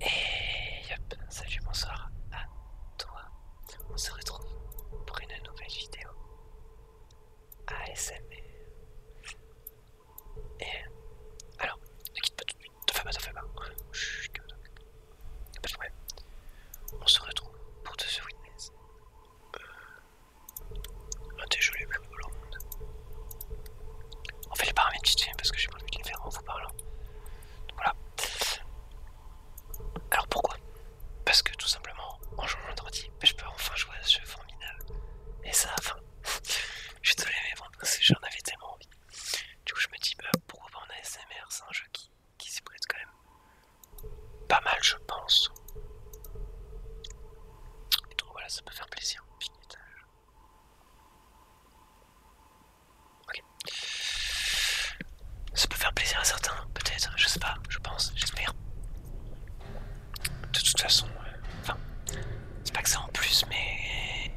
Et yep, salut, bonsoir à toi. On se retrouve pour une nouvelle vidéo ASMR. Et alors, ne quitte pas tout de suite, fais pas, pas. On se retrouve pour The Witness. Euh, un des jeux on fait les paramètres parce que j'ai pas envie de les faire en vous parlant. voilà. Alors pourquoi Parce que tout simplement, en jouant vendredi, je peux enfin jouer à ce jeu formidable. Et ça, enfin, je suis désolé, mais j'en avais tellement envie. Du coup, je me dis, bah, pourquoi pas en ASMR C'est un jeu qui, qui s'y prête quand même pas mal, je pense. Et donc voilà, ça peut faire plaisir. Ok. Ça peut faire plaisir à certains, peut-être, je sais pas, je pense, j'espère. De toute façon, euh, enfin, c'est pas que ça en plus, mais.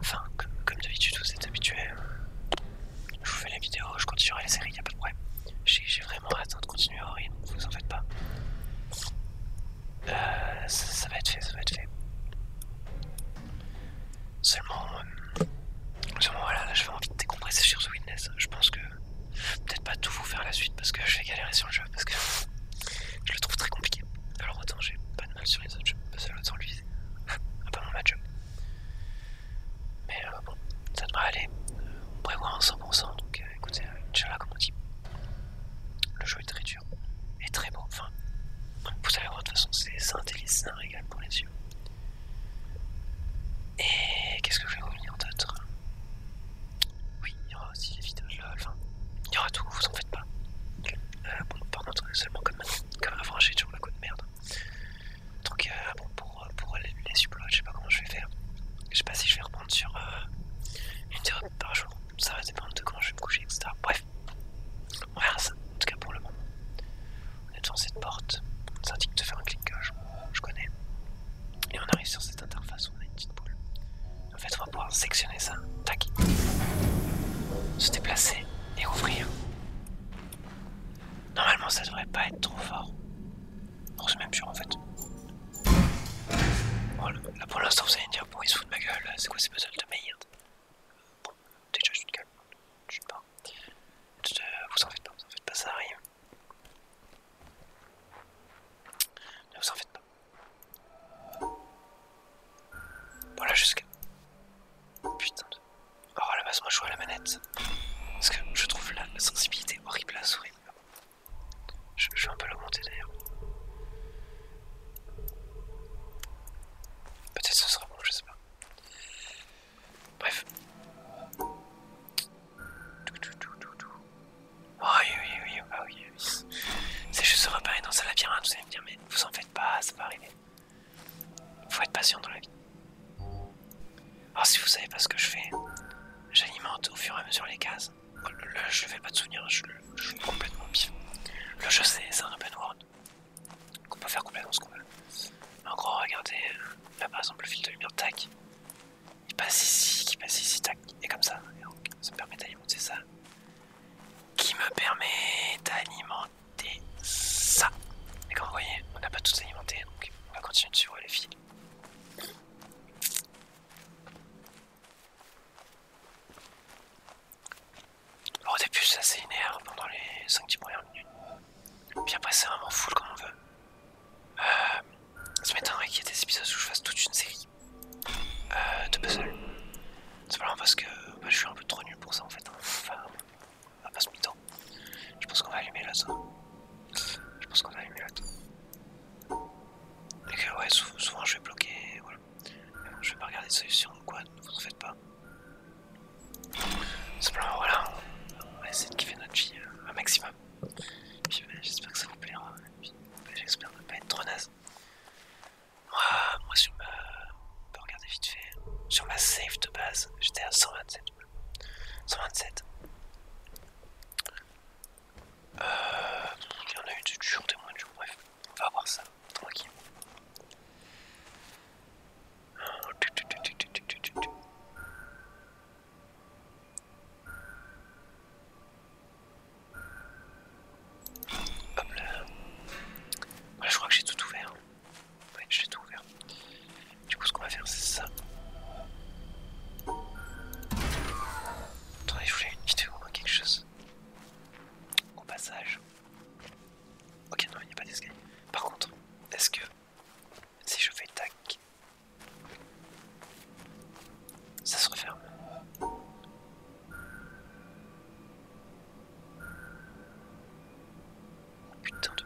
Enfin, comme, d'habitude, vous êtes habitués. Euh, je vous fais la vidéo, je continuerai la série, y a pas de problème. J'ai vraiment hâte de continuer au rythme, vous en faites pas. Euh, ça, va être fait, ça va être fait. Seulement, euh, seulement voilà, là je vais envie de décompresser sur ce Witness. Je pense que peut-être pas tout vous faire la suite parce que je vais galérer sur le jeu parce que je le trouve très compliqué. Alors autant j'ai pas de mal sur les autres jeux, parce que sur lui, un peu mon match Mais euh, bon, ça devrait aller. On prévoit un 100%, donc écoutez, Inch'Allah comme on dit. Le jeu est très dur et très beau. Enfin, vous allez voir, de toute façon, c'est un délice, c'est un régal pour les yeux. Et qu'est-ce que je vais vous en d'autre Oui, il y aura aussi les vidéos de enfin, il y aura tout, vous en faites pas. Euh, bon, par contre, seulement comme, comme avant, j'ai toujours la coup de merde. Donc, euh, pour, les, les uploads, je sais pas comment je vais faire. Je sais pas si je vais reprendre sur euh, une théorie par jour ça va dépendre de comment je vais me coucher, etc. Bref, on ça, en tout cas pour le moment. On est devant cette porte, ça indique de faire un clic gauche, je connais. Et on arrive sur cette interface où on a une petite boule. En fait, on va pouvoir sectionner ça, tac, se déplacer et ouvrir. Normalement, ça devrait pas être trop fort. On se même sûr en fait. voilà là pour l'instant, vous allez me dire, bon, ma gueule, c'est quoi ces puzzles de merde Bon, déjà je te gueule, je suis pas. vous en faites pas, vous en faites pas, ça arrive. Ne vous en faites pas. Voilà jusqu'à... Putain de... Oh la base, moi je joue à la manette. Parce que je trouve la, sensibilité horrible à la souris. Je, vais un peu l'augmenter d'ailleurs. Peut-être ce sera bon, je sais pas. Bref. Oh oui, oui, oui, ah C'est juste se repérer dans un labyrinthe, vous allez me dire, mais vous en faites pas, ça va arriver. Faut être patient dans la vie. Alors si vous savez pas ce que je fais, j'alimente au fur et à mesure les cases. Oh le, je vais pas de souvenir, je, je suis complètement pif. Le jeu c'est un open world. On peut faire complètement ce qu'on veut. En gros, regardez, euh, là par exemple le fil de lumière, tac. Il passe ici, qui passe ici, tac, et comme ça. Et donc, ça me permet d'alimenter ça. Qui me permet d'alimenter ça. Et comme vous voyez, on n'a pas tout alimenté, donc on va continuer de suivre les fils. Alors, au début, c'est assez linéaire pendant les 5-10 premières minutes. Puis après, c'est vraiment full comme on veut. ça euh, m'étonnerait qu'il y ait des épisodes où je fasse toute une série euh, de puzzles. C'est vraiment parce que bah, je suis un peu trop nul pour ça en fait. Hein. Enfin, on pas Je pense qu'on va allumer la Je pense qu'on va allumer la zone. ouais, souvent, je vais bloquer. Euh, je vais pas regarder de solution quoi, ne vous en faites pas. Simplement, voilà, on va essayer de kiffer notre vie euh, un maximum. J'espère que ça vous plaira. J'espère ne pas être trop naze. Moi, moi sur ma. On regarder vite fait. Sur ma save de base, j'étais à 127. 127. Euh, il y en a eu du jours, des moins de jours, bref. On va voir ça tranquille Hop là. Voilà, je crois que j'ai tout ouvert. j'ai tout ouvert. Du coup, ce qu'on va faire, c'est ça. Attendez, je voulais une vidéo, hein, quelque chose au passage. Ok, non, il n'y a pas d'escalier. Par contre, est-ce que si je fais tac, ça se referme Putain de...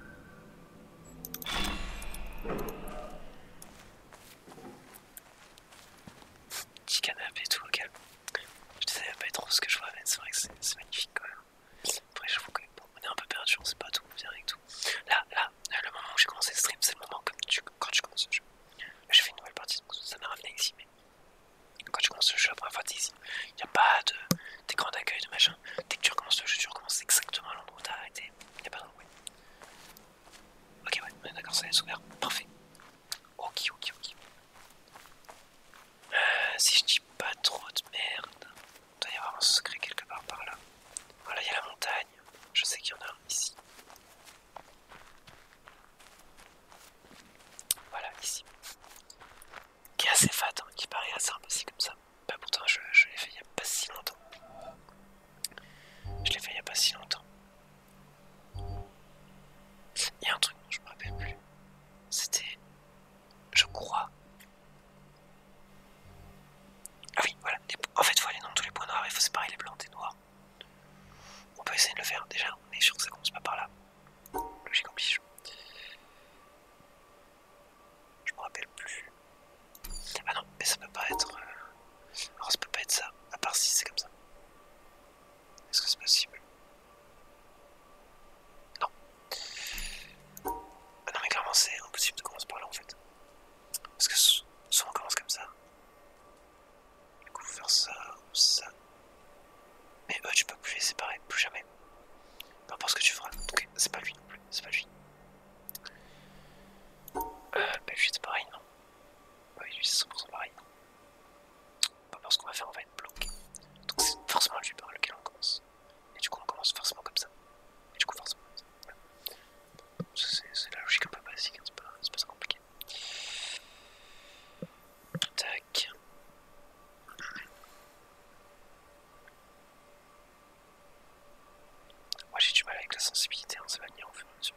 Petit canapé tout le calme. Je sais pas trop ce que je vois, mais c'est vrai que c'est magnifique quand même. Après, je vous connais on est un peu perdus, on sait pas tout, on vient avec tout. Là, là, le moment où j'ai commencé le stream, c'est le moment quand tu commences le jeu. je fais une nouvelle partie, donc ça m'a ramené ici, mais quand tu commences le jeu, la première fois, t'es ici. Il n'y a pas de d'écran d'accueil, de machin. Dès que tu recommences le jeu, tu recommences exactement à l'endroit où t'as arrêté. Il n'y a pas d'endroit. Ok, ouais, d'accord, ça est ouvert. Parfait. Ok, ok, ok. Euh, si je dis pas trop de merde, il doit y avoir un secret quelque part par là. Voilà, il y a la montagne. Je sais qu'il y en a un ici. Voilà, ici. Qui est assez fat, hein, qui paraît assez impossible comme ça. Pas bah, pourtant, je, je l'ai fait il n'y a pas si longtemps. Je l'ai fait il n'y a pas si longtemps. Il y a un truc dont je me rappelle plus. C'était. Je crois. Ah oui, voilà. En fait, il faut aller dans tous les points noirs, il faut séparer les blancs des noirs. On peut essayer de le faire déjà, mais je suis sûr que ça commence pas par là. Logique piche. Je me rappelle plus. Ah non, mais ça peut pas être. Euh, alors ça peut pas être ça, à part si c'est comme ça. Est-ce que c'est possible Non. Ah non mais clairement c'est impossible de commencer par là en fait. Parce que soit on commence comme ça. Du coup vous faire ça ou ça. Mais eux tu peux plus les séparer, plus jamais. Peu importe ce que tu feras. Ok, c'est pas lui non plus, c'est pas lui. Euh, bah lui c'est pareil non. Bah oui lui c'est 100% pareil non parce qu'on va faire, on va être bloqué. Donc c'est forcément vue par lequel on commence. Et du coup, on commence forcément comme ça. Et du coup, forcément. comme ça. C'est la logique un peu basique, hein, c'est pas, ça compliqué. Tac. Moi j'ai du mal avec la sensibilité, hein, ça va venir en fur et à mesure.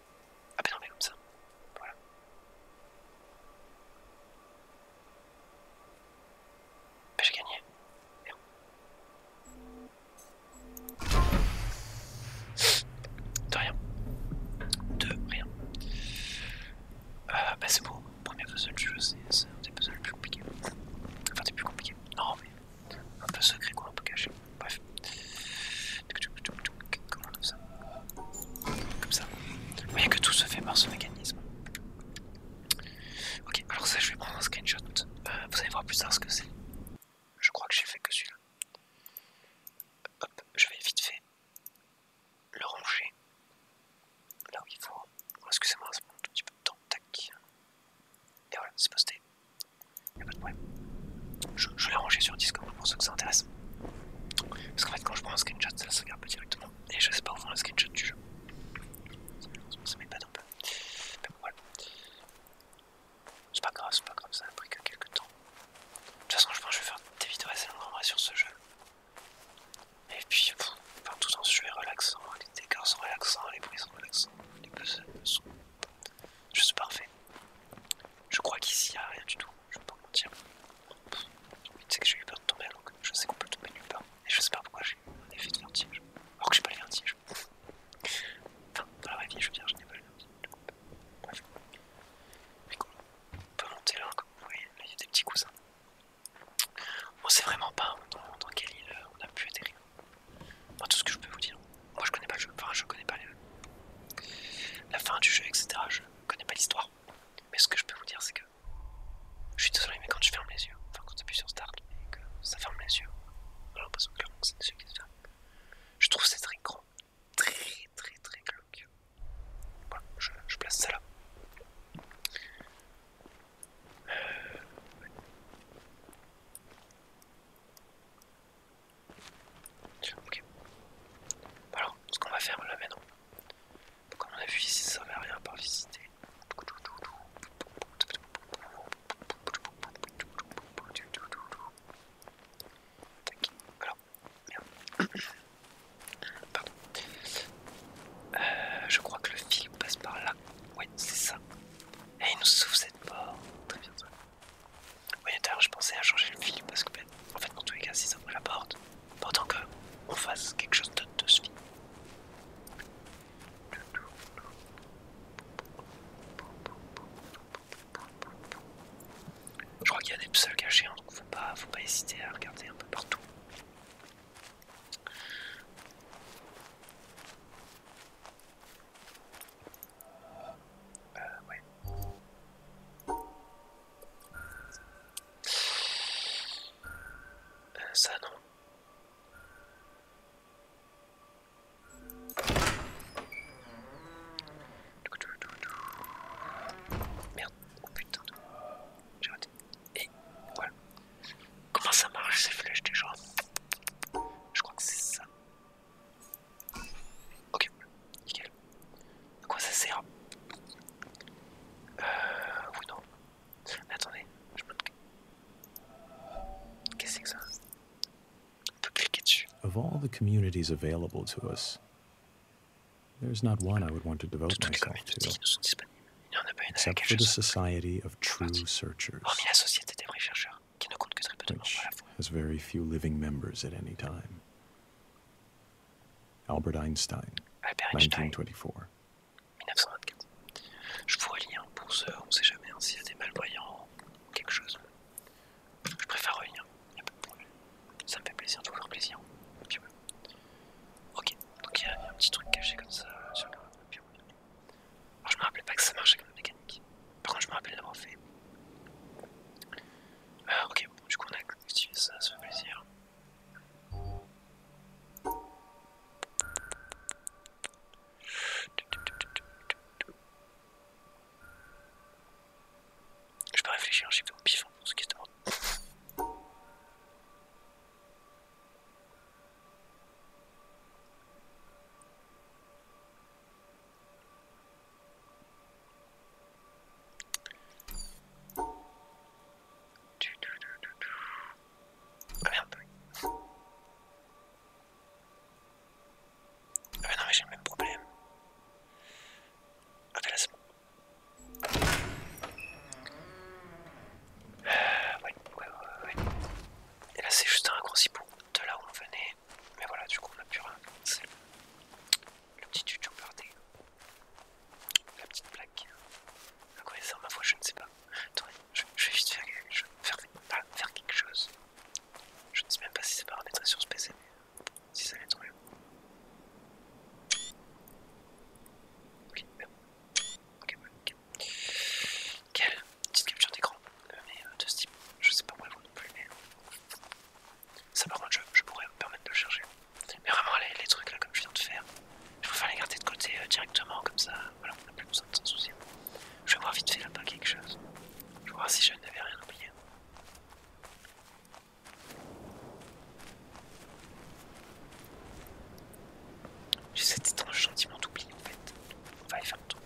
Ah bah non mais comme ça. Voilà. Bah j'ai gagné. De rien. De rien. Euh, bah c'est bon, premier puzzle je sais, c'est un des puzzles plus compliqués. Enfin des plus compliqués. Non mais un peu secret qu'on un peu caché. Bref. Comment on ça Comme ça. Vous voyez que tout se fait par ce mécanisme. Ok, alors ça, je vais prendre un screenshot. Euh, vous allez voir plus tard ce que c'est. Je crois que j'ai fait que celui-là. Hop, je vais vite fait le ranger là où il faut. Excusez-moi, ça prend un tout petit peu de temps. Tac. Et voilà, c'est posté. Y'a pas de problème. Je, l'ai rangé sur Discord pour ceux que ça intéresse. Parce qu'en fait, quand je prends un screenshot, ça se regarde pas directement. Et je sais pas où faire le screenshot du jeu. Ça un peu. Mais bon, voilà. C'est pas grave, c'est pas grave, ça a pris que quelques temps. De toute façon, je pense que je vais faire des vidéos assez longues en vrai sur ce jeu. Et puis, enfin, tout le ce jeu est relaxant, les décors sont relaxants, les bruits sont relaxants, les puzzles sont suis parfait Je crois qu'ici, il n'y a rien du tout je vais pas mentir. Tu sais que j'ai eu peur de tomber à l'eau. je sais qu'on peut tomber nulle part. Et je sais pas pourquoi j'ai eu un effet de vertige. Alors que j'ai pas le vertige. enfin, dans la vraie vie, je veux dire, je n'ai pas le vertige. Bref. Mais On peut monter là, comme vous voyez, il y a des petits cousins On sait vraiment pas dans, quelle île euh, on a pu atterrir. tout ce que je peux vous dire, moi je connais pas le jeu, enfin je connais pas la fin du jeu, etc. Je connais pas l'histoire. Mais ce que je peux vous dire c'est que je suis désolé mais quand je ferme les yeux, enfin quand appuies sur Start et que ça ferme les yeux, j'ai l'impression que c'est yeux qui se ferment, Je trouve cette très très très très glauque. Voilà, je, place ça là. Euh, alors, ce qu'on va faire là maintenant, comme on a vu si ça ne à rien par visiter. Alors, Pardon. Euh, je crois que le fil passe par là. Ouais, c'est ça. Et eh, il nous sauve cette porte. Très bien oui, d'ailleurs, je pensais à changer le fil parce que, en fait, dans tous les cas, si ça ouvre la porte, pendant qu'on fasse quelque chose d'autre de ce fil. Je crois qu'il y a des puzzles cachés, hein, donc faut pas, faut pas hésiter à regarder un peu partout. Euh, ouais. Euh, ça non. Merde, oh putain, j'ai raté. Et voilà. Comment ça marche ces flèches déjà Je crois que c'est ça. Euh, of all the communities available to us, there's not one I would want to devote myself to. Except for the Society of True Searchers. Hormis has very few living members at any time. Albert Einstein, 1924. Je vois lire un ce, on sait jamais si hein, s'il y a des malvoyants ou quelque chose. Je préfère rien. il Ça me fait plaisir, toujours plaisir. Ok, donc il y a un petit truc caché comme ça sur le. Puis, Alors je me rappelle pas que ça marchait comme mécanique. Par contre, je me rappelle d'avoir fait. Ah, ok, bon, du coup, on a activé ça, ça fait plaisir. Je peux réfléchir, j'ai fait au pif hein, pour ce qui se demande. Ah merde. non j'ai le même problème. Ah, ah, Et là c'est juste un raccourci pour de là où on venait mais, voilà, du coup, on a plus rien. C'est le, petit youtubeur des. La petite plaque. À quoi il sert ma foi, je ne sais pas. je, vais vite faire, quelque chose. Je ne sais même pas si c'est paramétré sur ce PC, mais si ça l'est, tant Ok, Ok, Quelle petite capture d'écran, euh, mais euh, de Steam. Je sais pas moi, vous non plus, mais ça par contre je, je pourrais me permettre de le chercher. Mais vraiment les, trucs là comme je viens de faire, je préfère les garder de côté euh, directement comme ça, voilà, on n'a plus besoin de s'en soucier. Je vais voir vite fait là-bas quelque chose. Je vais voir si je n'avais rien oublié. J'ai cet étrange sentiment d'oubli en fait. On va y faire le tour.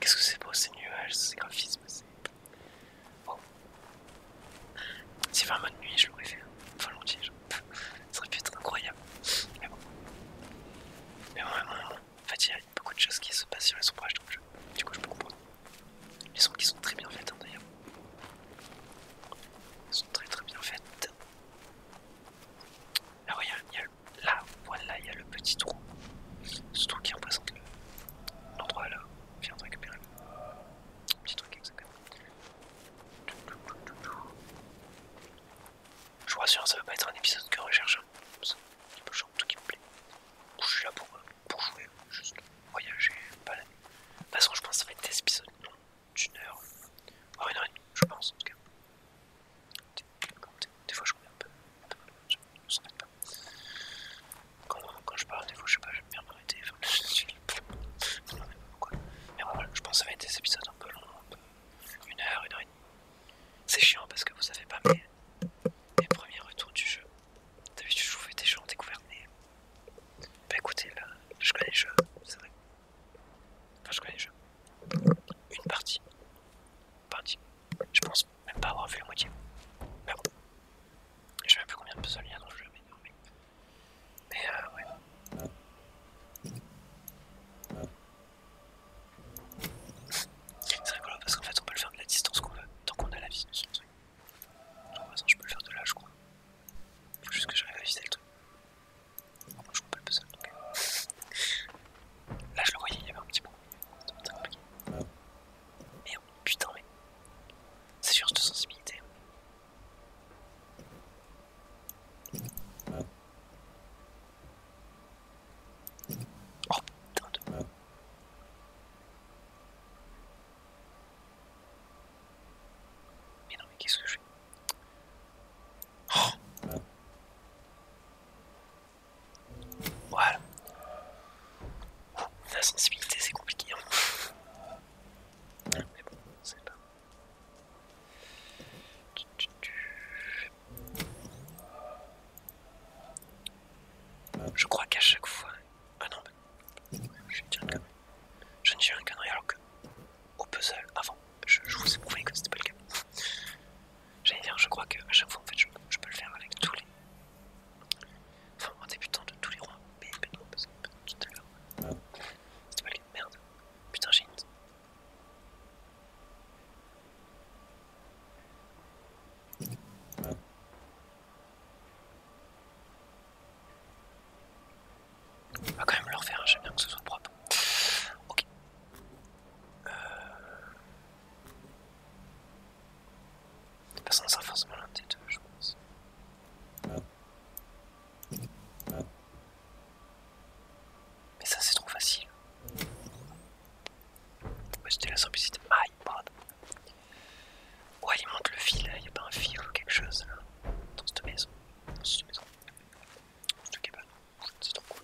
Qu'est-ce que c'est beau ces nuages, ces graphismes, c'est... Bon. Si un mode nuit, je l'aurais fait. Enfin, l'entier, ça aurait pu être incroyable. Mais bon. Mais bon, En fait, il y a beaucoup de choses qui se passent sur les ombrages dans le jeu. Du coup, je peux comprendre. Les sons qui sont très bien faits, hein, d'ailleurs. Ils sont très très bien faits. Là, ah il y, a le... Là, voilà, il y a le petit trou. Ce trou qui représente l'endroit là là. On vient de récupérer le petit truc exactement. Je vous rassure, ça va pas être un épisode que recherche. C'est un peu tout qui me plaît. Je suis là pour, euh, jouer, juste voyager, la De toute façon, je pense que ça va être des épisodes non, d'une heure. Oh une heure et demie, je pense en tout cas. Des fois, je connais un peu. Je s'en pas. Quand, je parle, des fois, je sais pas, j'aime bien m'arrêter. je voilà, je pense que ça va être des épisodes un peu longs, une heure, une heure et demie. C'est chiant parce que vous savez pas mes, premiers retours du jeu. D'habitude, je vous fais des jeux en découverte. bah écoutez, là, je connais le jeu, c'est vrai. Enfin, je connais Une partie. Une partie. Je pense même pas avoir vu la moitié. Mais bon. Je sais même plus combien de puzzles il y a dans le jeu, mais mais. euh, ouais. C'est rigolo parce qu'en fait on peut le faire de la distance qu'on veut, tant qu'on a la vision sur le truc. De toute façon je peux le faire de là, je crois. Faut juste que j'arrive à visiter le truc je coupe pas le puzzle Là je le voyais, il y avait un petit bruit. Merde, oh, putain, mais. C'est juste de sensibilité. Oh putain de. Mais non, mais qu'est-ce que je fais Oh. Voilà. la sensibilité, c'est compliqué. Hein. Mais bon, c'est pas. Je crois qu'à chaque fois. Ah non, je tiens le canon Je ne tiens de rien, alors que au puzzle avant. Je, vous ai prouvé que c'était pas le cas. J'allais dire, je crois que à chaque fois en fait je, peux le faire avec tous les. Enfin, en débutant de tous les rois. Mais, tout à l'heure. C'était pas les Merde. Putain, j'ai On va quand même le refaire, j'aime bien que ce soit propre. Ok. Euh... pas sans ça forcément l'un des deux, je pense. Mais ça, c'est trop facile. Ouais, c'était la simplicité. Ah, il Ouais, il monte le fil, il n'y a pas un fil ou quelque chose là, dans cette maison. Dans cette maison. tout pas c'est trop cool.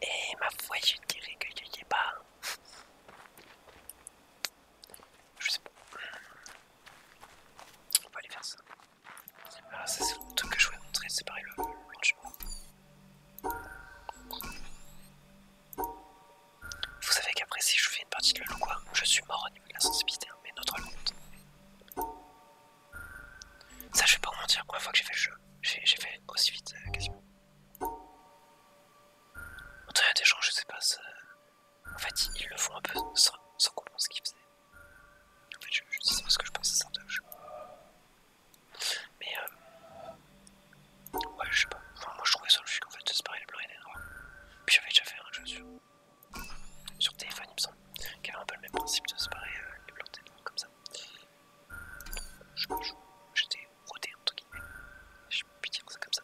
Et ma foi, je dirais que je sais pas. Je sais pas. On va aller faire ça. Alors, ah, ça c'est le truc que je voulais montrer, c'est pareil le Vous savez qu'après si je fais une partie de le ou quoi, je suis mort la sensibilité hein, mais notre monde. Ça je vais pas vous mentir, la fois que j'ai fait le jeu, j'ai fait aussi vite euh, quasiment. En tout cas, des gens, je sais pas, en fait ils le font un peu sans, sans comprendre ce qu'ils faisaient. En fait, je, sais pas ce que je pense, c'est un Mais euh... ouais, je sais pas. moi je trouvais sur le jeu en fait, c'est pareil, les blancs et les noirs. Puis j'avais déjà fait un jeu sur téléphone, il me semble, qui a un peu le même principe euh, de les blancs et les noirs comme ça. Je me joue, j'étais rodé entre guillemets, je peux dire ça comme ça.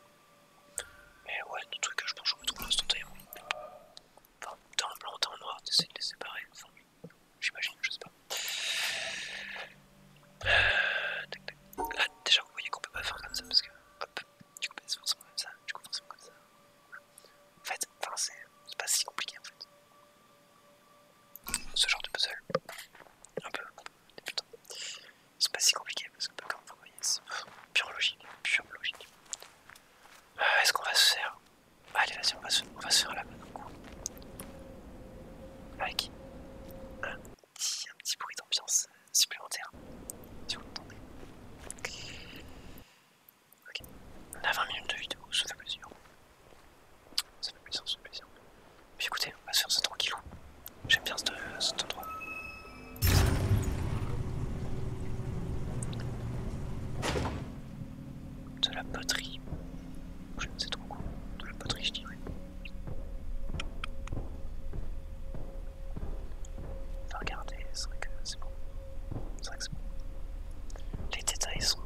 Mais ouais, le truc que je pense que je retrouve instantanément. Enfin, dans le blanc, dans un noir, t'essayes de les séparer, enfin, j'imagine, je sais pas. Là, ah, déjà, vous voyez qu'on peut pas faire comme ça parce que, hop, du coup, bah, c'est comme ça, tu coup, forcément comme ça. En fait, enfin, c'est pas si compliqué en fait. Ce genre de puzzle, un peu débutant, c'est pas si compliqué parce que, bah, comme vous voyez, c'est pure logique, pure logique. Euh, est-ce qu'on va se faire Allez, vas-y, on, va se... faire la bonne coup. Avec un un petit bruit d'ambiance supplémentaire, si vous l'entendez. Ok. On a 20 minutes de vidéo, ça fait plaisir. Ça fait plaisir, ça fait plaisir. Puis écoutez, on va se faire ça tranquillou. J'aime bien euh, cet, endroit. De la poterie. Je ne sais trop quoi. De la poterie, je dirais. Regardez, c'est vrai que c'est bon. C'est vrai que les détails sont.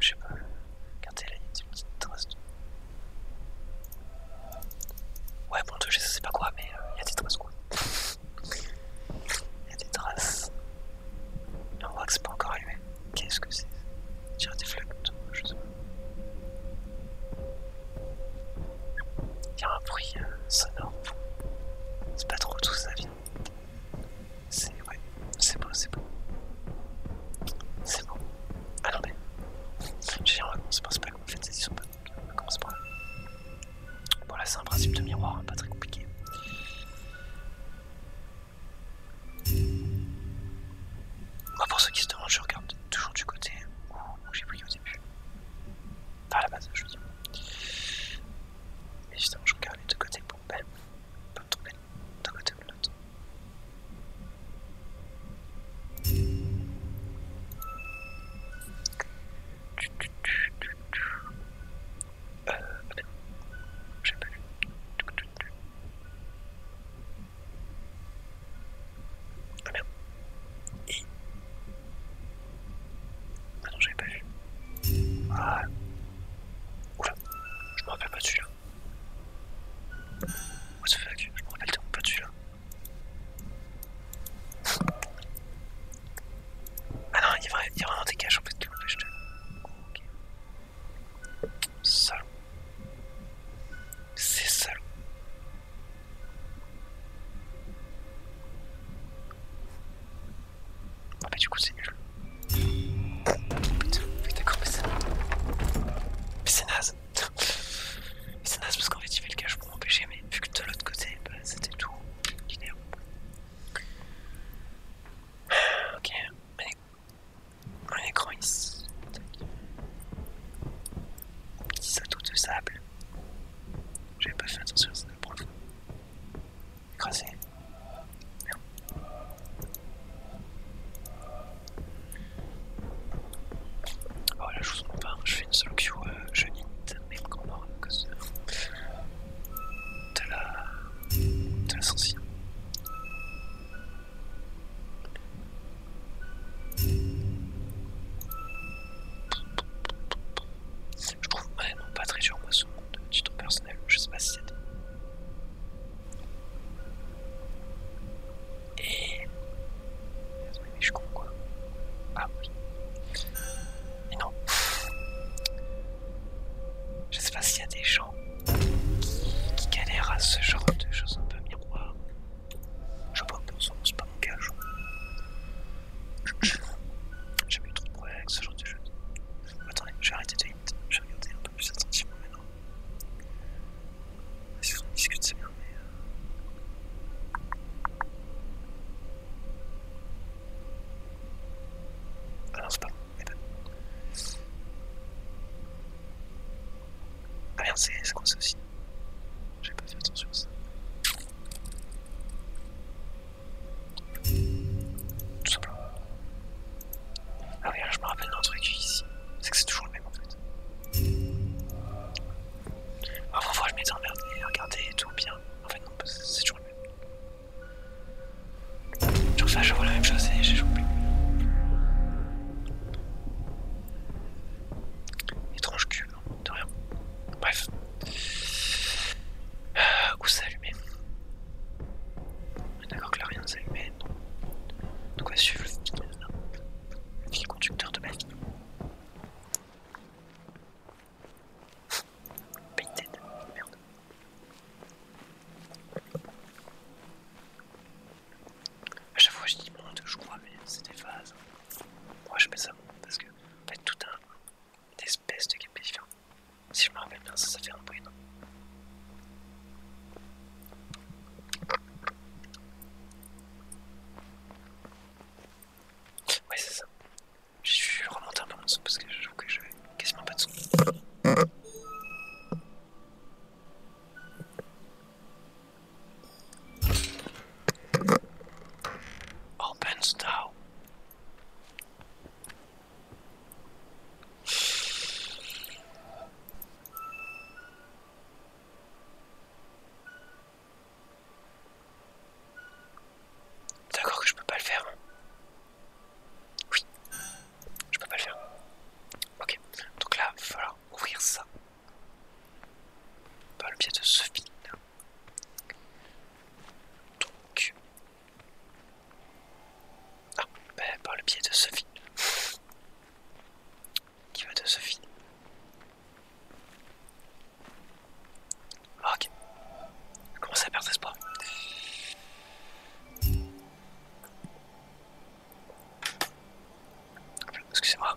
je sais pas. Regardez là, il y a des petites traces Ouais, bon, je sais pas quoi, mais euh, il y a des traces quoi. Il y a des traces. on voit que c'est pas encore allumé. Qu'est-ce que c'est il y a des flaques, je sais pas. Il y a un bruit euh, sonore. C'est pas trop tout ça, vite. C'est ouais, c'est beau, c'est beau. C'est beau. Ah non mais, j'ai en c'est pas en fait, ils sont pas on commence par là. Bon là c'est un principe de miroir, hein, pas très compliqué. Moi pour ceux qui se demandent, je regarde toujours du côté où j'ai pris au début. Enfin à la base, je veux dire. Et justement, je regardais de côté pour pas me tromper d'un côté ou de l'autre. Euh, j'ai pas vu. Ah merde. Et... Ah non, j'avais pas vu. Ah. Oula, je me rappelle pas de celui-là. What the fuck, je me rappelle pas de celui-là. Ah non, il y a, vraiment des caches en fait qui le de. Ok. Salaud. C'est salaud. Ah bah du coup c'est nul. mais c'est... Mais c'est naze. c'est naze parce qu'en fait il fait le cache pour m'empêcher mais vu que de l'autre côté bah, c'était tout linéaire. Ok, un écran ici. Petit saut de sable. J'avais pas fait attention à ça le problème écrasé. Oh là, je vous comprends pas, je fais une seule queue, euh, je hit, mais encore mort à de, la. de la je trouve vraiment pas très sûr moi ce monde de ton personnel, je sais pas si c'est. Et. Mais je suis quoi. Ah oui. Mais non. Je sais pas s'il y a des gens qui, galèrent à ce genre de choses un peu miroir. Je propose, c'est pas mon cas, j'ai eu trop de problèmes avec ce genre de jeu. Attendez, j'ai arrêté de je vais regarder un peu plus attentivement maintenant. Si on discute, c'est bien, mais. Euh, ah non, c'est pas bon, mais ben. Ah merde, c'est quoi ça aussi J'ai pas fait attention à ça. Tout simplement. Ah oui, là, je me rappelle d'un truc ici. C'est que c'est toujours le même en fait. Ah, parfois je m'étais emmerdé, regardez et tout bien. En fait non, c'est toujours le même. ça, je vois la même chose et j'ai joué. Étrange cul, hein, de rien. Bref. Euh, où c'est allumé D'accord que là rien ne Donc on va suivre le fil, conducteur de ma vie. Painted, merde. A chaque fois je dis monde, je crois, mais c'est des phases. Moi je mets ça parce que en tout un espèces de différents Si je me rappelle bien, ça, ça fait un bruit, non Ouais, c'est ça. Je suis remonté un peu mon son parce que je trouve que j'avais quasiment pas de son. Open style D'accord que je peux pas le faire. Oui, je peux pas le faire. Ok, donc là, il va falloir ouvrir ça par le biais de Sophie Donc, ah, bah, par le biais de Sophie. Qui va de Sophie ah, Ok. Je commence à perdre espoir. Excusez-moi.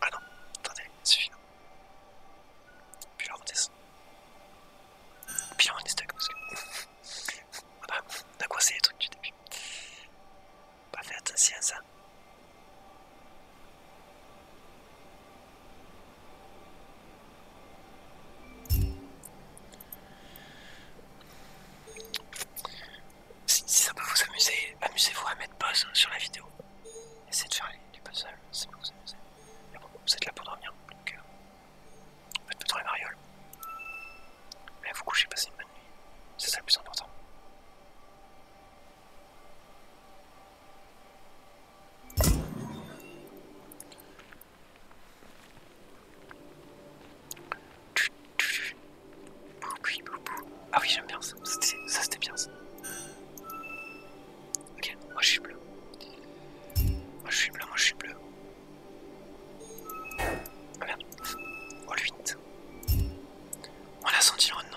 Ah non, attendez, suffit. Puis là on descend. Puis là on est stuck parce que. ah bah, on a coincé les trucs du début. Pas fait attention à ça si, ça peut vous amuser, amusez-vous à mettre pause sur la vidéo. Essayez de faire du puzzle, C'est ça peut vous amuser. Mais bon, vous êtes là pour dormir, donc euh, faites plutôt la mariole. Mais vous couchez, passez une bonne nuit. C'est ça le plus important. Ah oui, j'aime bien ça. Ça, c'était bien ça. Ok, moi je suis bleu. Moi je suis bleu, moi je suis bleu. Ah merde. Oh le On a senti le nom.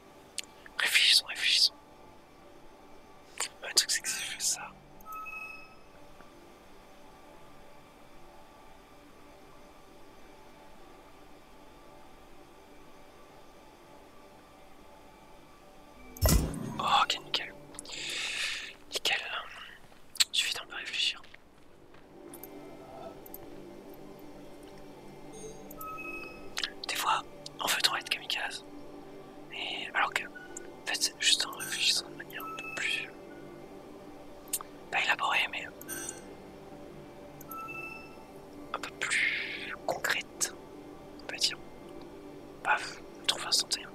Réfléchissons, réfléchissons. Le truc, c'est que j'ai fait ça. Oh, ok, nickel. Nickel. Il suffit d'un peu réfléchir. Des fois, on fait, trop être kamikaze. alors que, en fait, c'est juste en réfléchissant de manière un peu plus. pas élaborée, mais. un peu plus concrète, on va dire. Paf, on trouve instantané.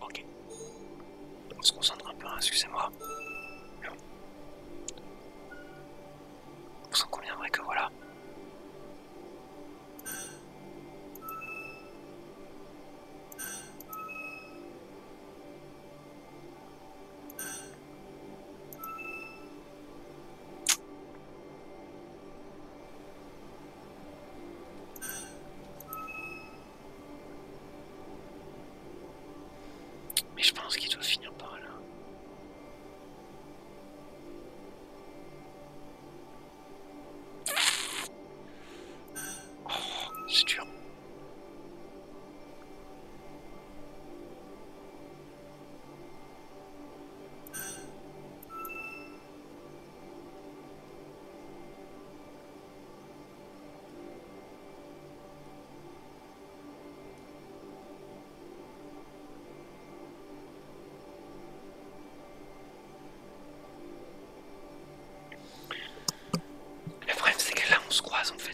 Ok. On se concentre un peu, hein, excusez-moi. Vous en conviendrez que voilà. Mais je pense qu'il doit finir par là. Oh, c'est dur. Le problème, c'est que là, on se croise, en fait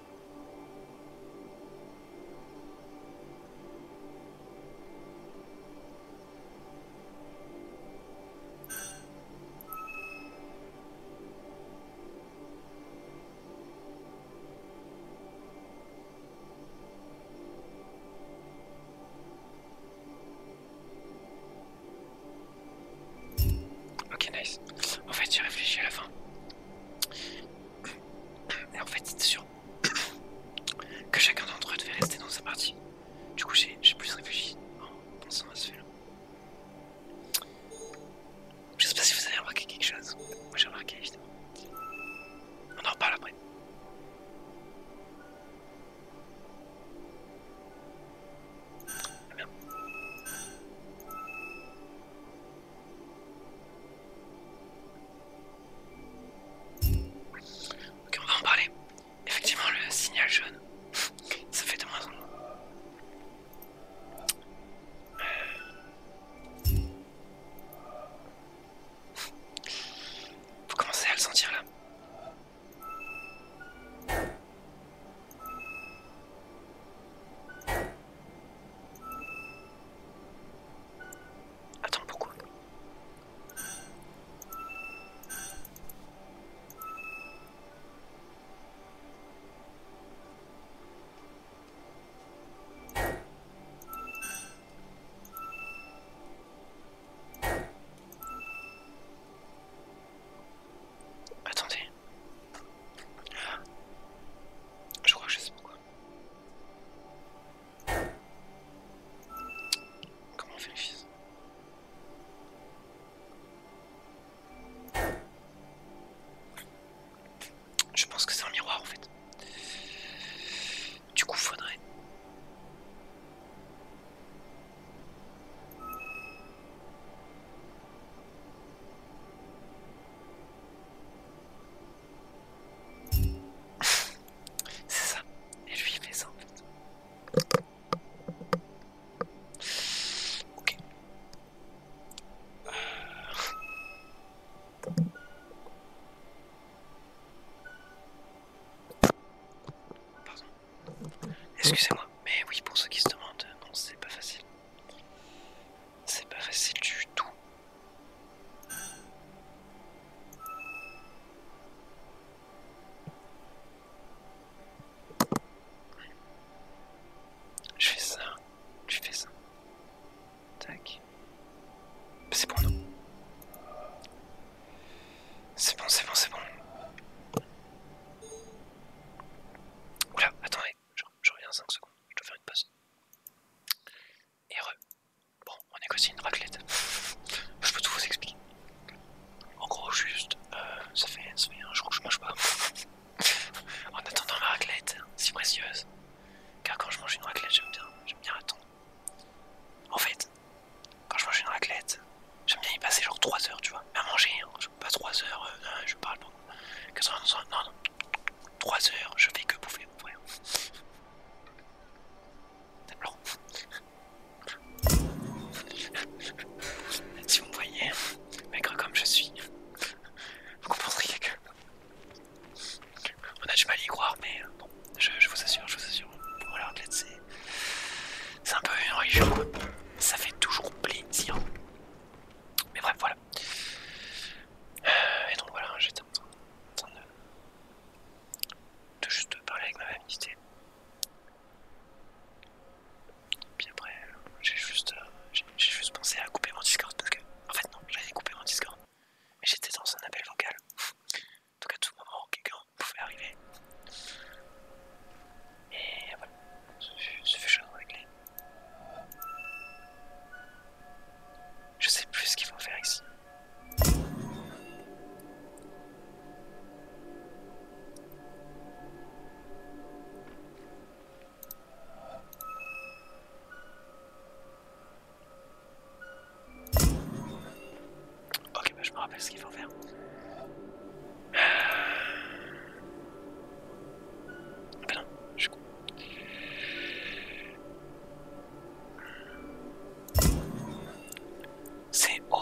Ok, nice. En fait, tu' réfléchi à la fin. Et en fait, c'est sûr que chacun d'entre eux devait rester dans sa partie. Du coup, j'ai plus réfléchi en pensant à ce là. Je sais pas si vous avez remarqué quelque chose. Moi, j'ai remarqué, évidemment. On en reparle après. Ah, Ok, on va en parler. Effectivement, le signal jaune, ça fait de moins en moins. Euh. Vous commencez à le sentir là Attends, pourquoi Attendez. Je crois que je sais pourquoi. Comment on fait les fils Je pense que c'est un miroir en fait. Du coup, faudrait. C'est ça. Et lui, il ça en fait. Ok. Euh. Pardon. Excusez-moi, mais oui, pour ceux qui se demandent, non, c'est pas facile. C'est pas facile du tout. Je fais ça, Tu fais ça. Tac. C'est bon, non C'est bon, c'est bon, c'est bon. Oula, attendez, je, je reviens 5 secondes je dois faire une pause. Et re. Bon, on est aussi une raclette. je peux tout vous expliquer. En gros, juste, euh, ça, fait, un souvenir, un crois que je mange pas. en attendant ma raclette, hein, si précieuse. Car quand je mange une raclette, j'aime bien, j'aime bien attendre. En fait, quand je mange une raclette, j'aime bien y passer genre 3 heures, tu vois. À manger, hein, pas 3 heures, euh, je parle moi que non, non, non, 3 heures, je vais que bouffer, mon frère. C'est blanc. si vous me voyez, maigre comme je suis, vous comprendrez que. On a du mal à y croire, mais euh, bon, je, vous assure, je vous assure. Voilà, c'est. C'est un peu une religion, Ça fait toujours plaisir. Mais bref, voilà. Euh, et donc voilà, j'étais en train, de, de juste parler avec ma famille. Puis après, euh, euh, j'ai juste, pensé à couper mon Discord parce que, en fait, non, j'avais coupé mon Discord, mais j'étais dans un appel vocal. Donc à tout moment, quelqu'un pouvait arriver. Et voilà, ce fut chaud avec les. Je sais plus ce qu'il faut faire ici. Ok, bah, je me rappelle ce qu'il faut faire. Ah non, je suis c'est O.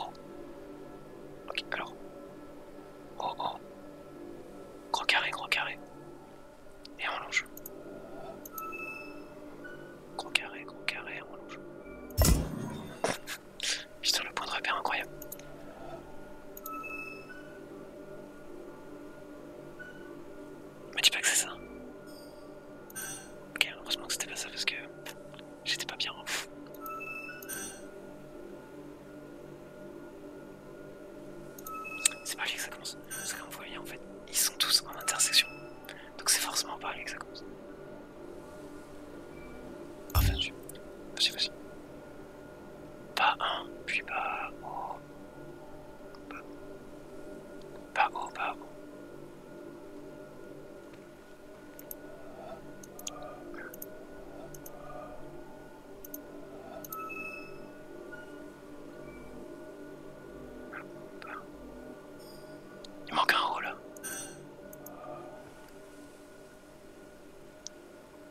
Ok, alors. O, O. Gros carré, gros carré. Et on longe. Gros carré, gros carré, on longe. Putain, le point de repère incroyable. Mais dis pas que c'est ça. Ok, heureusement que c'était pas ça parce que j'étais pas bien. Hein. C'est pas lui que ça commence. Parce que comme vous voyez, en fait, ils sont tous en intersection. Donc c'est forcément pas lui que ça commence. Enfin, vas-y, vas-y. Pas un, puis pas haut. Oh. Pas haut, oh, pas oh. Il manque un rôle.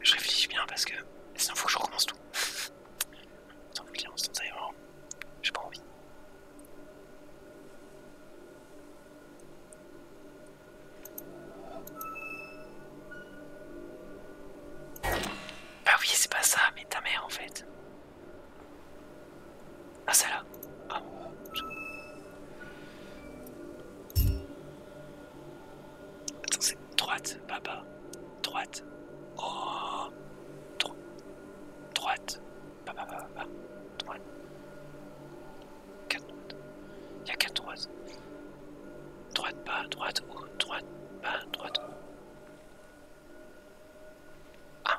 Je réfléchis bien parce que sinon faut que je recommence tout. Sans vous le dire instantanément, j'ai pas envie. Bah oui, c'est pas ça, mais ta mère en fait. Ah celle-là. Ah. Attends, c'est droite, papa droite. Oh. droite. pas pas pas Droite. Quatre Il y a quatre droites. Droite, bas, droite, haut, droite, bas, droite, Ah.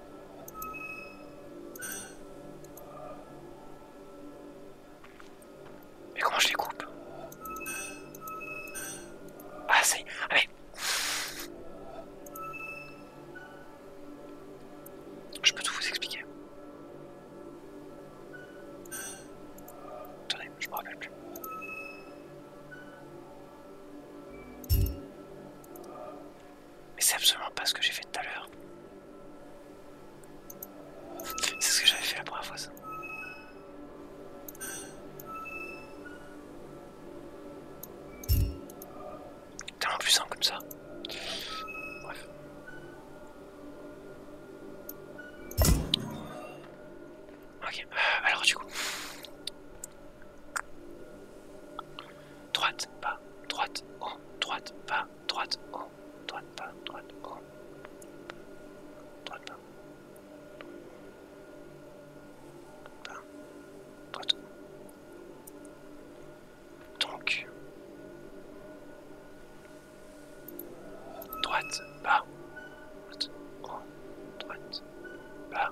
Mais comment je les coupe Ah c'est... Allez ah, Je peux tout vous expliquer. Attendez, je me rappelle plus. Mais c'est absolument pas ce que j'ai fait tout à l'heure. C'est ce que j'avais fait la première fois ça. Tellement puissant comme ça. Bref. Ok, euh, alors du coup, Droite, pas droite, en, droite, bas, droite, en, droite, pas droite, en. Droite, bas. droite. Donc. Droite, pas droite, en, droite, pas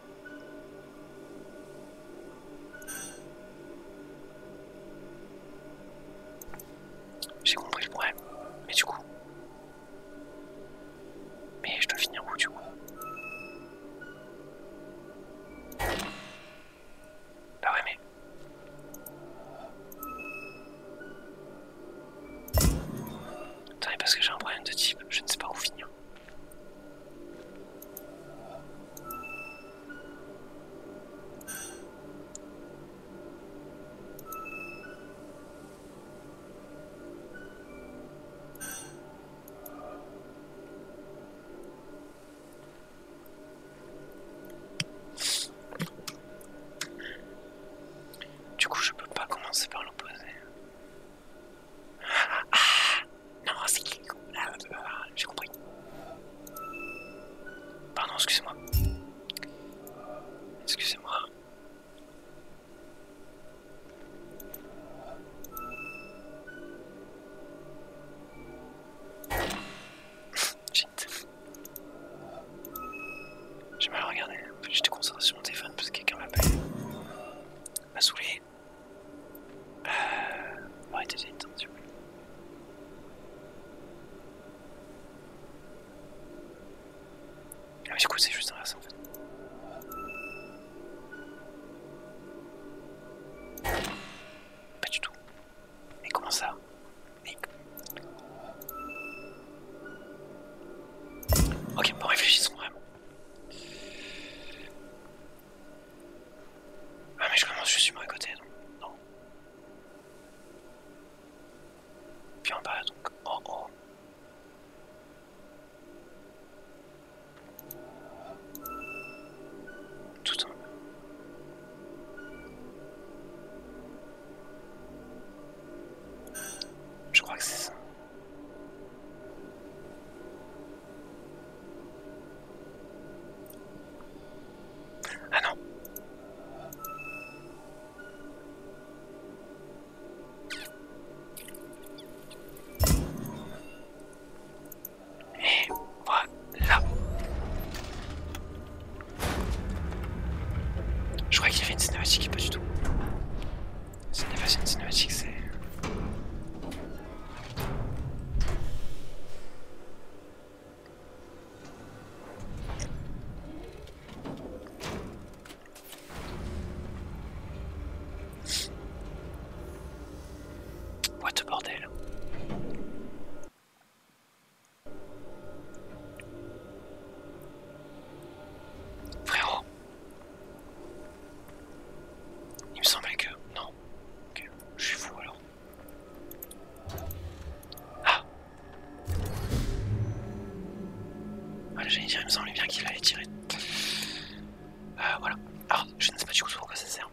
J'ai compris le problème. Mais du coup. Mais je dois finir où du coup Bah ouais mais. Attendez parce que j'ai un problème de type, je ne sais pas où finir. Du coup, je peux pas commencer par l'opposé. Ah Non, c'est qui ah, J'ai compris. Pardon, excusez-moi. Excusez-moi. J'ai mal regardé. J'étais concentré sur mon téléphone parce que quelqu'un m'appelle. M'a saoulé. Euh... Ouais, déjà une Ah, mais du coup, c'est juste inversé en fait. Pas du tout. Mais comment ça Mais. Ok, bon, réfléchissons vraiment. Ah mais je commence, je suis à côté, donc non. Puis en bas, donc oh oh. Tout en bas. Je crois que c'est ça. Ah non. Et voilà. Je crois qu'il y avait une cinématique, pas du tout. Ce n'est pas une cinématique, c'est... What bordel, frère. Il me semblait que... Non. Ok, je suis fou alors. Ah Voilà, j'allais dire, il me semblait bien qu'il allait tirer. Euh, voilà. Alors, je ne sais pas du coup pourquoi ça sert.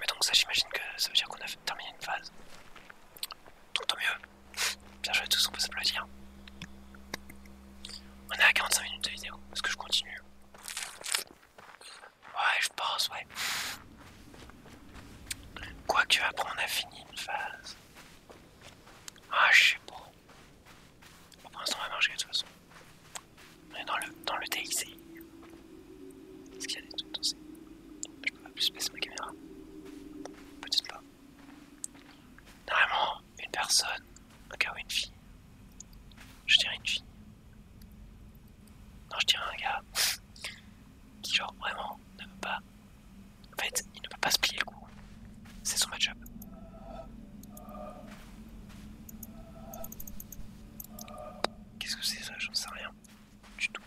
Mais donc ça, j'imagine que ça veut dire qu'on a terminé une phase. Donc tant mieux. Bien joué tous, on peut s'applaudir. On est à 45 minutes de vidéo. Est-ce que je continue Ouais, je pense, ouais. Quoi que, après on a fini une phase. Ah, je sais pas. pour l'instant, on va marcher de toute façon. On est dans le, dans le Est-ce qu'il y a des trucs dans Je peux pas plus baisser ma caméra. Peut-être pas. Normalement, une personne un gars ou une fille Je dirais une fille. Non, je dirais un gars qui, genre, vraiment ne veut pas. En fait, il ne peut pas se plier le coup. C'est son match-up. Qu'est-ce que c'est ça J'en sais rien du tout.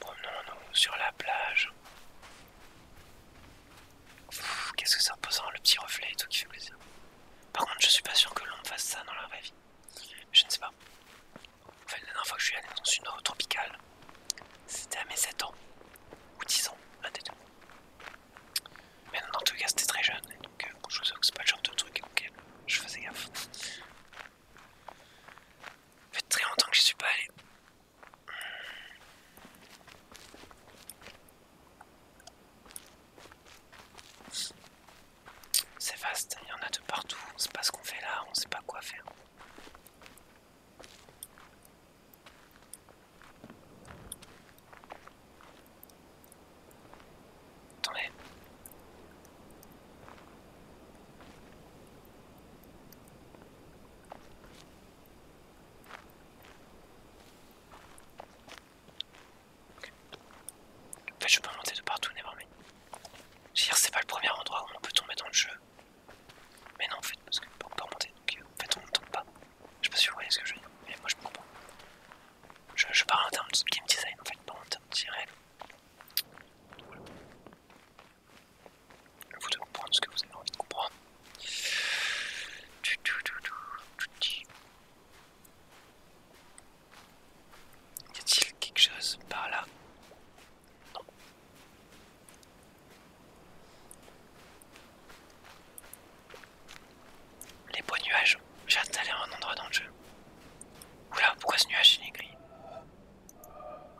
Promenons-nous sur la plage. Qu'est-ce que c'est imposant, le petit reflet et tout qui fait plaisir. Par contre, je suis pas sûr que l'on fasse ça dans la vraie vie. Je ne sais pas. En fait, la dernière fois que je suis allé dans une eau tropicale, c'était à mes 7 ans. Ou 10 ans, un des deux. Mais non, tout cas, c'était très jeune. donc, euh, je vous que c'est pas le genre de truc auquel je faisais gaffe. Ça fait très longtemps que je suis pas allé. C'est vaste, il y en a de partout, on sait pas ce qu'on fait là, on sait pas quoi faire. Attendez. En fait, je peux monter de partout, mais Je veux dire, c'est pas le premier endroit où on peut tomber dans le jeu. Mais non, en fait, parce qu'on peut pas remonter, donc euh, en fait, on ne tombe pas. Je sais pas si vous voyez ce que je veux dire, mais moi je comprends Je, je parle en termes de game design, en fait, pas en termes de donc Voilà vous devez comprendre ce que vous avez envie de comprendre. Y a-t-il quelque chose par là Non. Les beaux nuages. J'ai hâte d'aller à un endroit dans le jeu. Oula, pourquoi ce nuage c'est est gris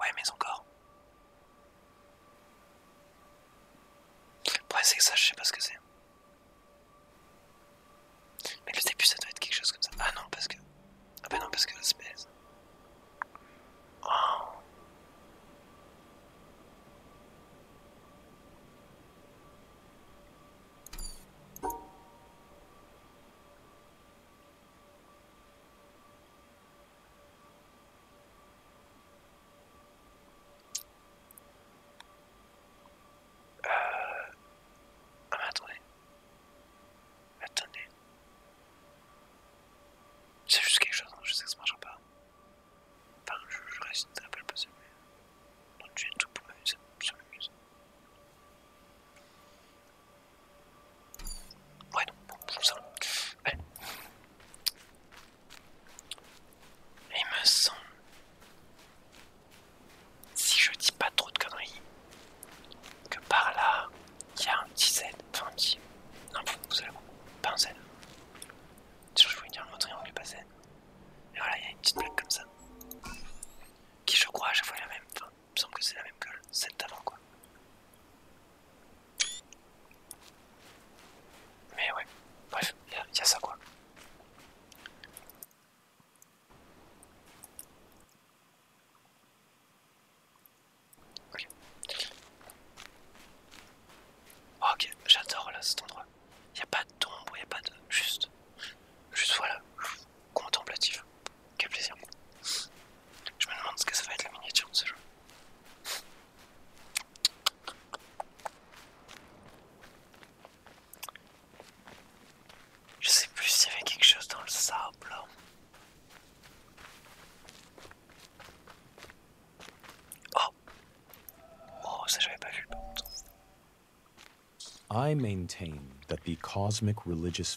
Ouais, mais encore. Ouais c'est ça, je sais pas ce que c'est. Mais le début, ça doit être quelque chose comme ça. Ah non, parce que. Ah ben non, parce que l'espèce. Oh. Euh... Ah mais attendez. Attendez. C'est juste quelque chose, hein, je sais que ça marchera pas. Enfin, je, reste, je reste un peu possible. Donc j'ai tout pour m'amuser, ça m'amuse. Ouais, non, bon, je ça. Ouais. Il me semble. Si je dis pas trop de conneries, que par là, il y a un petit Z. Enfin, un petit. Non, vous allez voir. Pas un Z. Je voulais dire un triangle, mais pas Z. Et voilà, il y a une petite plaque comme ça. Qui, je crois, à chaque fois la même. Il me semble que c'est la même gueule, celle d'avant quoi. Mais ouais, bref, il y, a ça quoi. Ok, oh, j'adore là cet endroit. Il a pas de tombe, il a pas de... Juste... Juste voilà contemplatif. Quel plaisir. Je me demande ce que ça va être la miniature de ce jeu. Je sais plus s'il y avait quelque chose dans le sable. Oh Oh, ça j'avais pas vu. le I maintain that the cosmic religious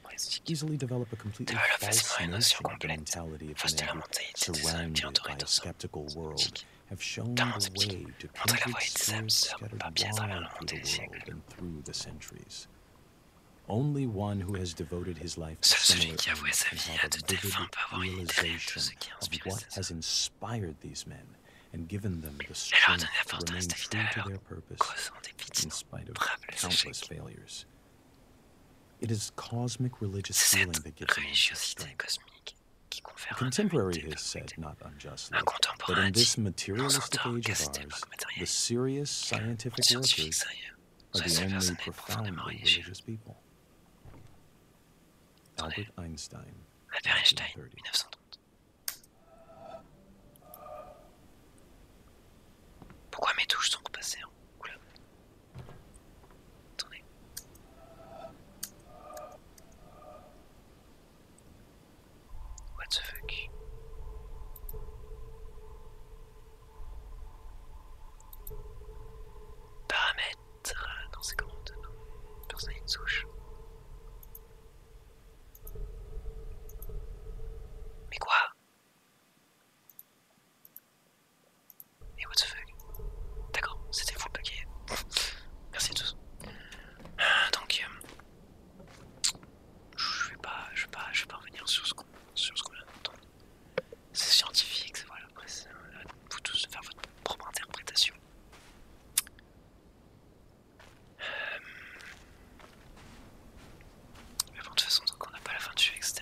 easily develop a completely false notion of the mentality of a skeptical world have shown the way to penetrate so scattered wide the world and through the centuries. Only one who has devoted his life to similar ends can have a vivid realization of what has inspired these men and given them the strength to remain true to their purpose in spite of countless failures. It is cosmic religious feeling that gives us Contemporary has said not unjustly that in this materialistic age of ours, the serious scientific workers are the only profoundly religious people. Albert Einstein, 1930. Pourquoi mes touches sont repassées en hein couleur Attendez. What the fuck Paramètres. Ah, non, c'est comment Non. Hein Personne n'a une souche. Mais quoi et what the fuck D'accord, c'était full bugué. Merci à tous. Donc, euh, je vais pas, je vais pas, je pas revenir sur ce qu'on a entendu. C'est scientifique, c'est voilà. Après, c'est euh, vous tous de faire votre propre interprétation. Euh, mais bon, de toute façon, tant on n'a pas la fin du jeu, etc.,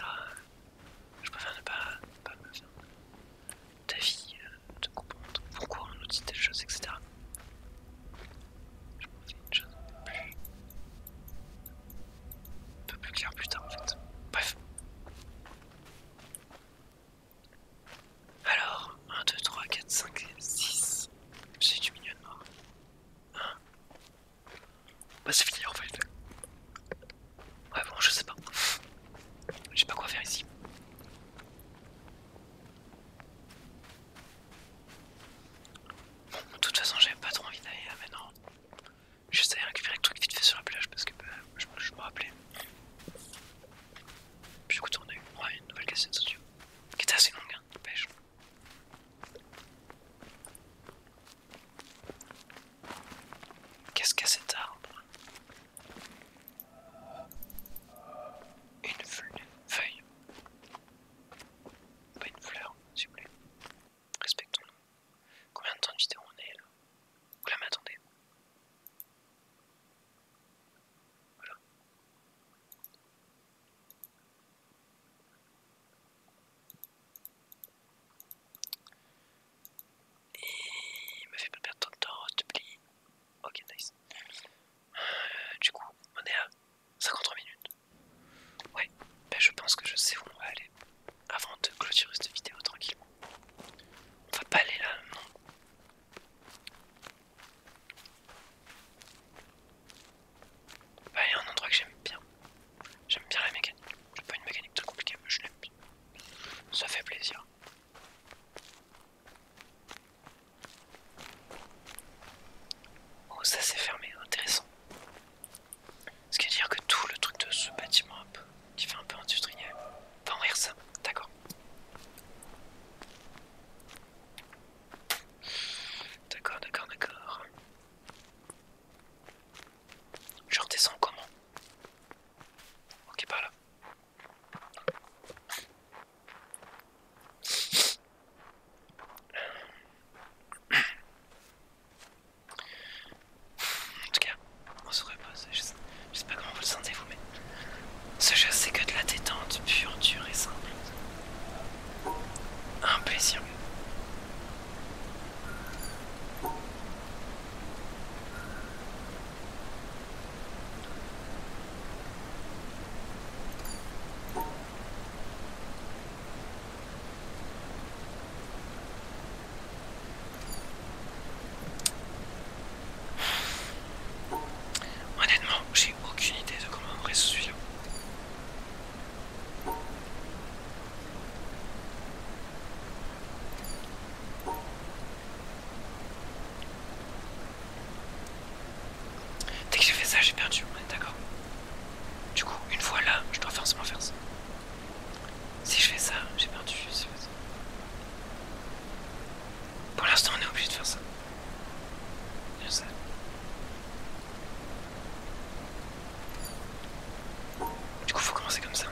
je préfère ne pas, me faire d'avis, euh, de comprendre pourquoi on nous dit telle chose, etc. Je m'en une chose un peu plus, un peu plus claire plus tard, en fait. Bref. Alors, 1, 2, 3, 4, 5, 6. J'ai du milieu de mort. 1, bah c'est fini en fait. Ouais bon je sais pas. J'ai pas quoi faire ici. Bon de toute façon j'avais pas trop envie d'aller là maintenant. rien de récupérer le truc vite fait sur la plage parce que bah, je, dois me rappelais. Puis je on a eu ouais, une nouvelle cassette audio. Qui était assez longue hein, pêche. Qu'est-ce qu'a cet arbre Une feuille. Pas une fleur, s'il vous plaît. Respectons-nous. Combien de temps de vidéo on est là la mais attendez. Voilà. Et me fait pas perdre ton de temps, tu te Ok, nice. Euh, du coup, on est à 53 minutes. Ouais, ben, je pense que je sais où on va aller. Avant de clôturer cette vidéo tranquillement. On va pas aller là, non. Bah, il y a un endroit que j'aime bien. J'aime bien la mécanique. n'ai pas une mécanique très compliquée, mais je l'aime bien. Ça fait plaisir. Oh, ça s'est fermé, intéressant. Ce qui veut dire que tout le truc de ce bâtiment qui fait un peu industriel, va rire ça, d'accord. D'accord, d'accord, d'accord. Je redescends comment Ok, par là. En tout cas, on se repose. Je sais, pas comment vous le sentez vous, mais ce jeu c'est que de la détente pure, dure et simple. Un plaisir. Honnêtement, j'ai aucune idée de comment on pourrait celui-là. Dès que j'ai fait ça, j'ai perdu, on est d'accord. Du coup, une fois là, je dois forcément faire ça. Si je fais ça, j'ai perdu. Pour l'instant, on est obligé de faire ça. Je sais. Du coup, faut commencer comme ça.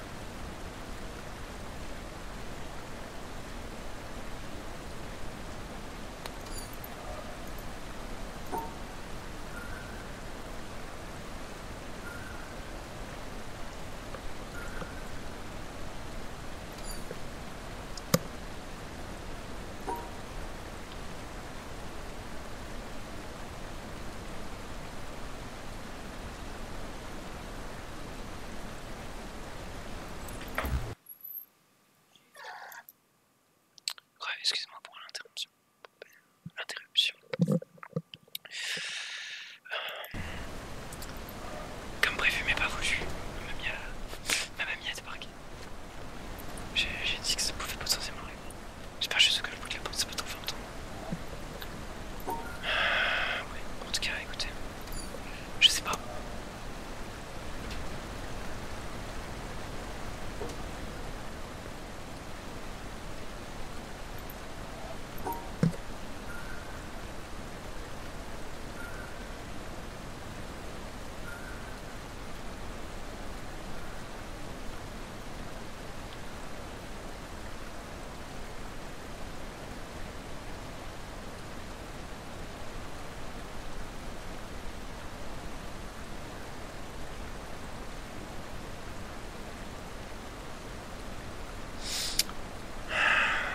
Ouais, excusez-moi pour l'interruption. Euh, comme prévu, mais pas voulu, ma mamie a, débarqué. J'ai dit que ça pouvait pas potentiellement J'espère juste que le bout de la porte, ça va être fin entendre. Ouais, en tout cas, écoutez. Je sais pas.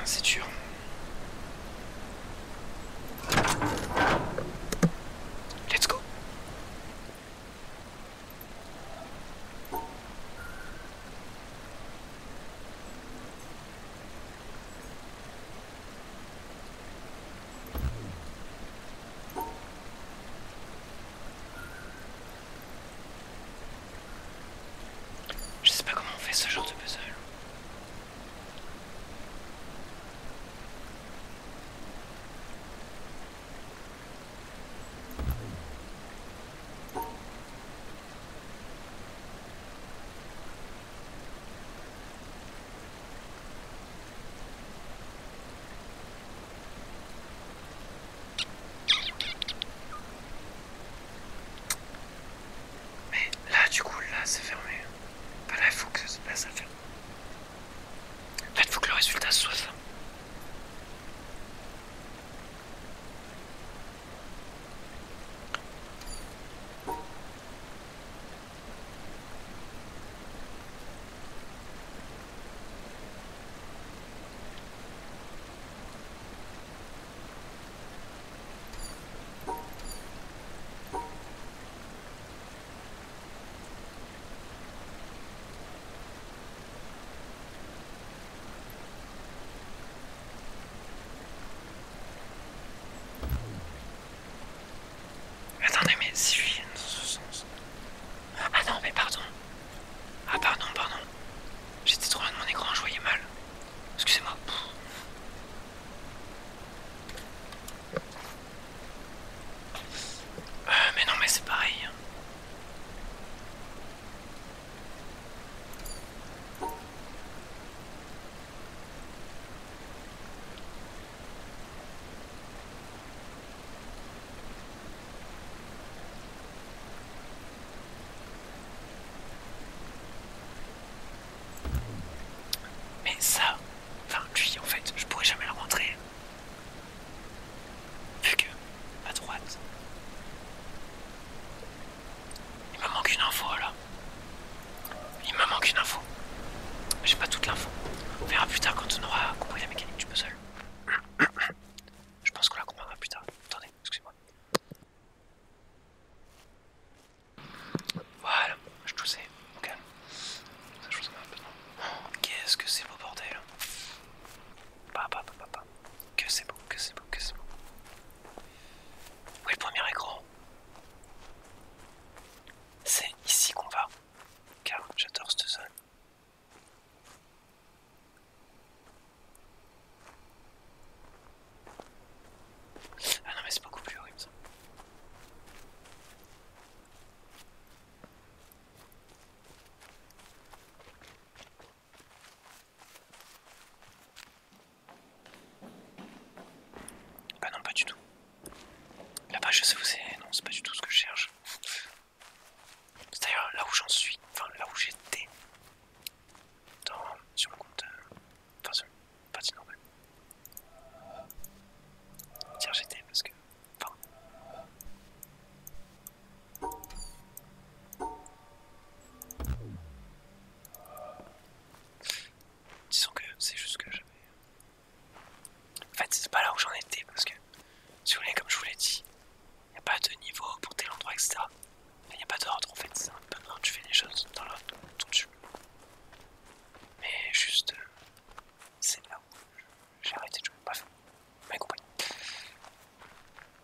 C'est dur. Let's go. Je sais pas comment on fait ce genre de puzzle. Mais là, du coup, là, c'est fermé. Bah, là, il faut que ça se passe à faire... Faites-vous que le résultat soit ça. Attendez, mais si je viens dans ce sens. Ah non, mais pardon. Ah pardon, pardon. J'étais trop loin de mon écran, je voyais mal. Excusez-moi. Euh, mais non, mais c'est pareil. Hein. Mais ça, enfin lui en fait, je pourrais jamais la rentrer. Vu que, à droite, il me manque une info là. Il me manque une info. J'ai pas toute l'info. On verra plus tard quand on aura compris la mécanique du puzzle. Je pense qu'on la comprendra plus tard. Attendez, excusez-moi. Voilà, je toussais, Qu'est-ce que c'est beau bordel bah, bah, bah, que c'est beau, que c'est beau, que c'est beau. oui, le premier écran C'est ici qu'on va, car j'adore ce zone. Ah non mais c'est beaucoup plus horrible ça bah non, pas du tout. Là-bas, je sais où c'est. Non, c'est pas du tout ce que je cherche. C'est d'ailleurs là où j'en suis, enfin là où j'étais. Dans, sur le compte. De euh, enfin, sur pas partie normale. Tiens, j'étais parce que Disons que c'est juste que j'avais. En fait, c'est pas là où j'en étais parce que, si vous voulez, comme je vous l'ai dit, il a pas de niveau pour tel endroit, etc. il n'y a pas d'ordre en fait, c'est un peu quand tu fais des choses dans l'ordre de tu. Mais juste, euh, c'est là où j'ai arrêté de jouer, bref, vous m'avez compris.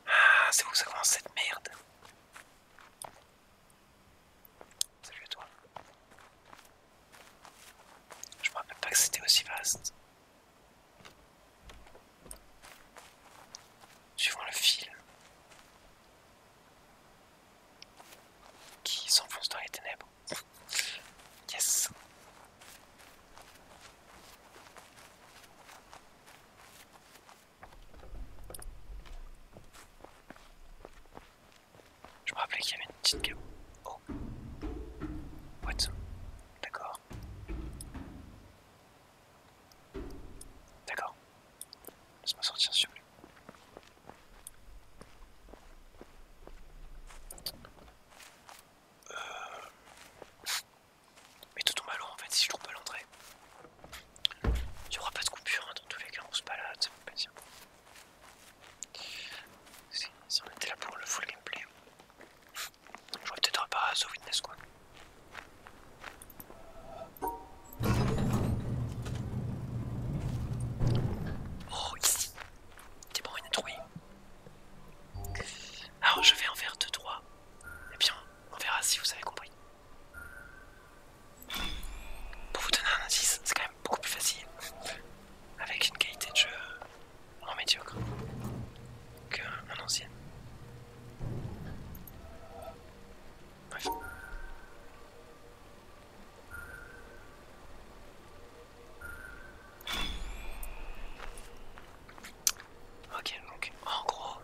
Ah, c'est où ça commence cette merde Salut à toi. Je me rappelle pas que c'était aussi vaste. Suivant le fil qui s'enfonce dans les ténèbres. yes. Je me rappelais qu'il y avait une petite gueule Oh. What? D'accord. D'accord. Laisse-moi sortir sur lui. Euh... Mais tout tombe à l'eau en fait si je trouve pas l'entrée. Y'aura pas de coupure hein, dans tous les cas, on se balade, ça Si, si on était là pour le full gameplay, j'aurais peut-être pas à The Witness quoi. Oh ici T'es bon, une trouille. Alors je vais en faire deux trois. Et eh bien on verra si vous avez compris. Pour vous donner un indice, c'est quand même beaucoup plus facile avec une qualité de jeu en médiocre qu'un ancien. Bref. Ok, donc en gros,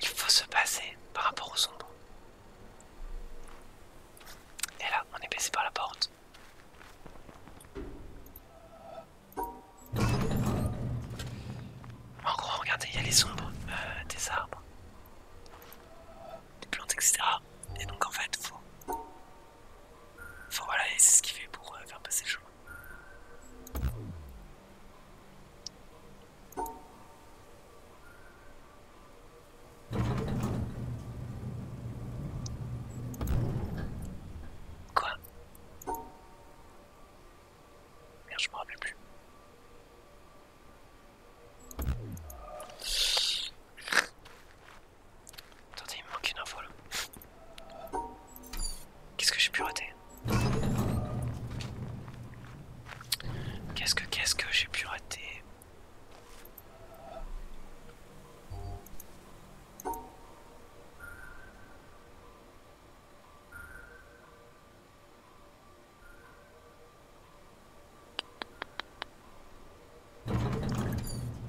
il faut se passer par rapport aux ombres. Et là, on est baissé par la porte. En gros, regardez, il y a les ombres euh, des arbres, des plantes, etc. Et donc en fait, faut Enfin voilà, et c'est ce qu'il fait pour euh, faire passer le chemin. Quoi Merde, je me rappelle plus. Attendez, il me manque une info Qu'est-ce que j'ai pu rater Qu'est-ce que, qu'est-ce que j'ai pu rater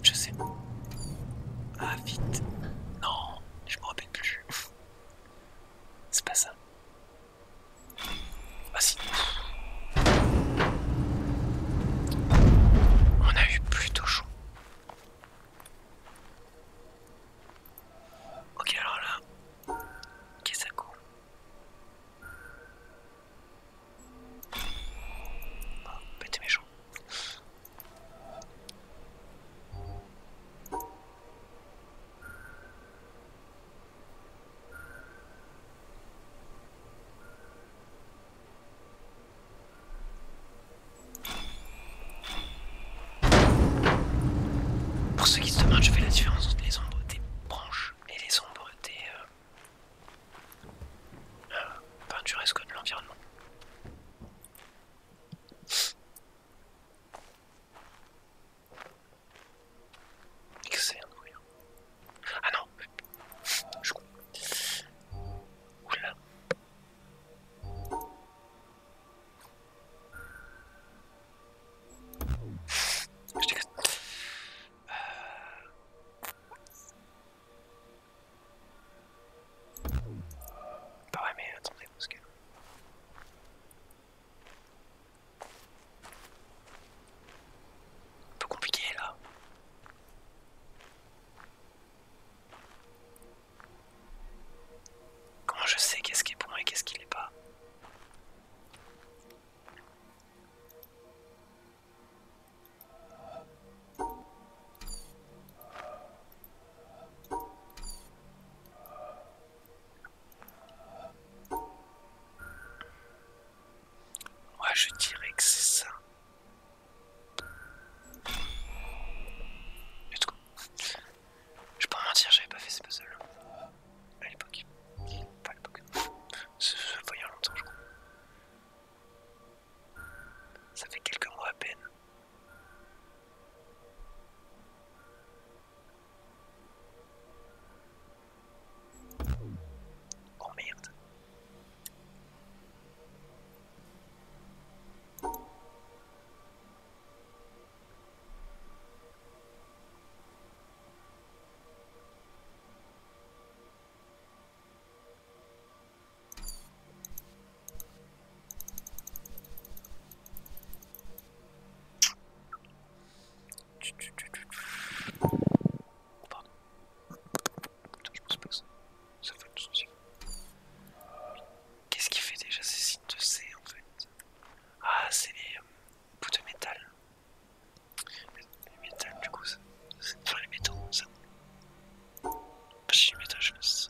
Je sais. Ah, vite. Non, je me rappelle plus. C'est pas ça. Ah si. On a eu plutôt chaud. Ok, alors là. Qu'est-ce que ça court Oh, mes méchant. Pour ceux qui se demandent, je fais la différence entre les ombres des branches et les ombres des... Euh, euh, de l'environnement. Excellent voyant. Ah non Je comprends. Oula. Je mais attendez, parce que. Un peu compliqué là. Comment je sais qu'est-ce qui est bon et qu'est-ce qui l'est pas Ouais je dirais que c'est ça. Du coup Je peux pas mentir, j'avais pas fait ce puzzle hein. à l'époque. Pas à l'époque. C'est il y a longtemps je crois. Ça fait quelques mois à peine. Oh merde. Qu'est-ce qui fait déjà ces signes de C en fait Ah, c'est les euh, bouts de métal. Les métal, du coup, ça. Enfin, les métaux, ça. Pas si les métal, je le sais.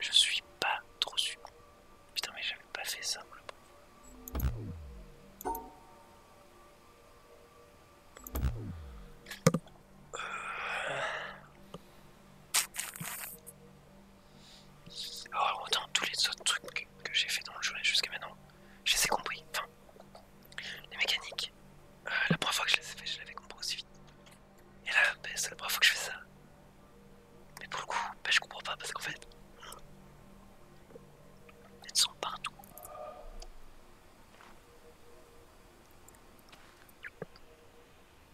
Je suis pas trop sûr. Putain, mais j'avais pas fait ça, alors, oh, autant tous les autres trucs que j'ai fait dans le jeu jusqu'à maintenant, je les ai compris. Enfin, les mécaniques, euh, la première fois que je les ai fait, je l'avais compris aussi vite. Et là, ben, c'est la première fois que je fais ça. Mais pour le coup, ben, je comprends pas parce qu'en fait, ils sont partout.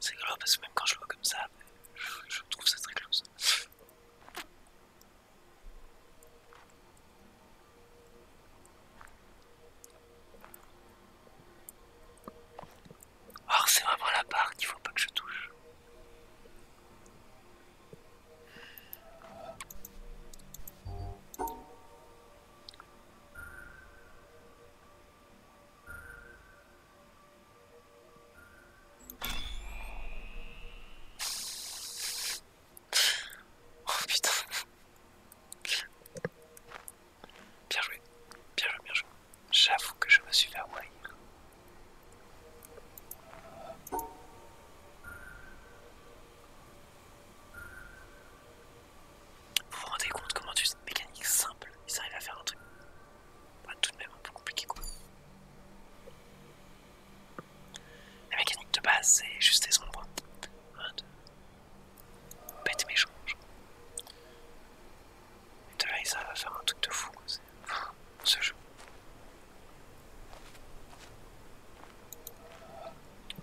C'est grave parce que même quand je le vois comme ça, je, trouve ça très close. Or c'est vraiment la part qu'il ne faut pas que je touche. Oh Bien joué, bien joué, bien joué. J'avoue que je me suis fait avoir. Vous vous rendez compte comment mécanique simple, ils arrivent à faire un truc tout de même un peu compliqué quoi. La mécanique de base c'est juste des ombres. de... Bête méchant. Et de là ils arrivent à faire un truc de fou. Quoi. Ce jeu.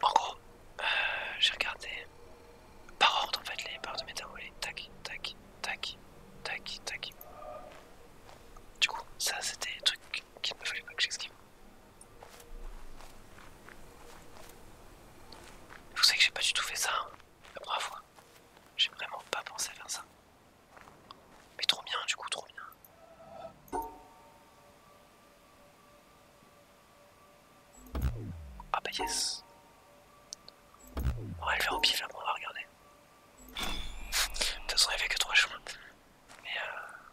En gros, euh, j'ai regardé par ordre en fait les barres de métabolites. Tac, tac, tac, tac, tac. Du coup, ça c'était des trucs qu'il ne fallait pas que j'esquive vous savez que j'ai pas du tout fait ça, hein. la première J'ai vraiment pas pensé à faire ça. Mais trop bien, du coup, trop bien. Ah bah yes. On va le faire au pif là, on va regarder. De toute façon, il n'y avait que trois chemins. Mais euh,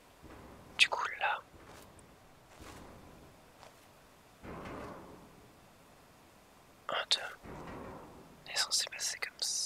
Du coup, là. Un, deux. On est censé passer comme ça.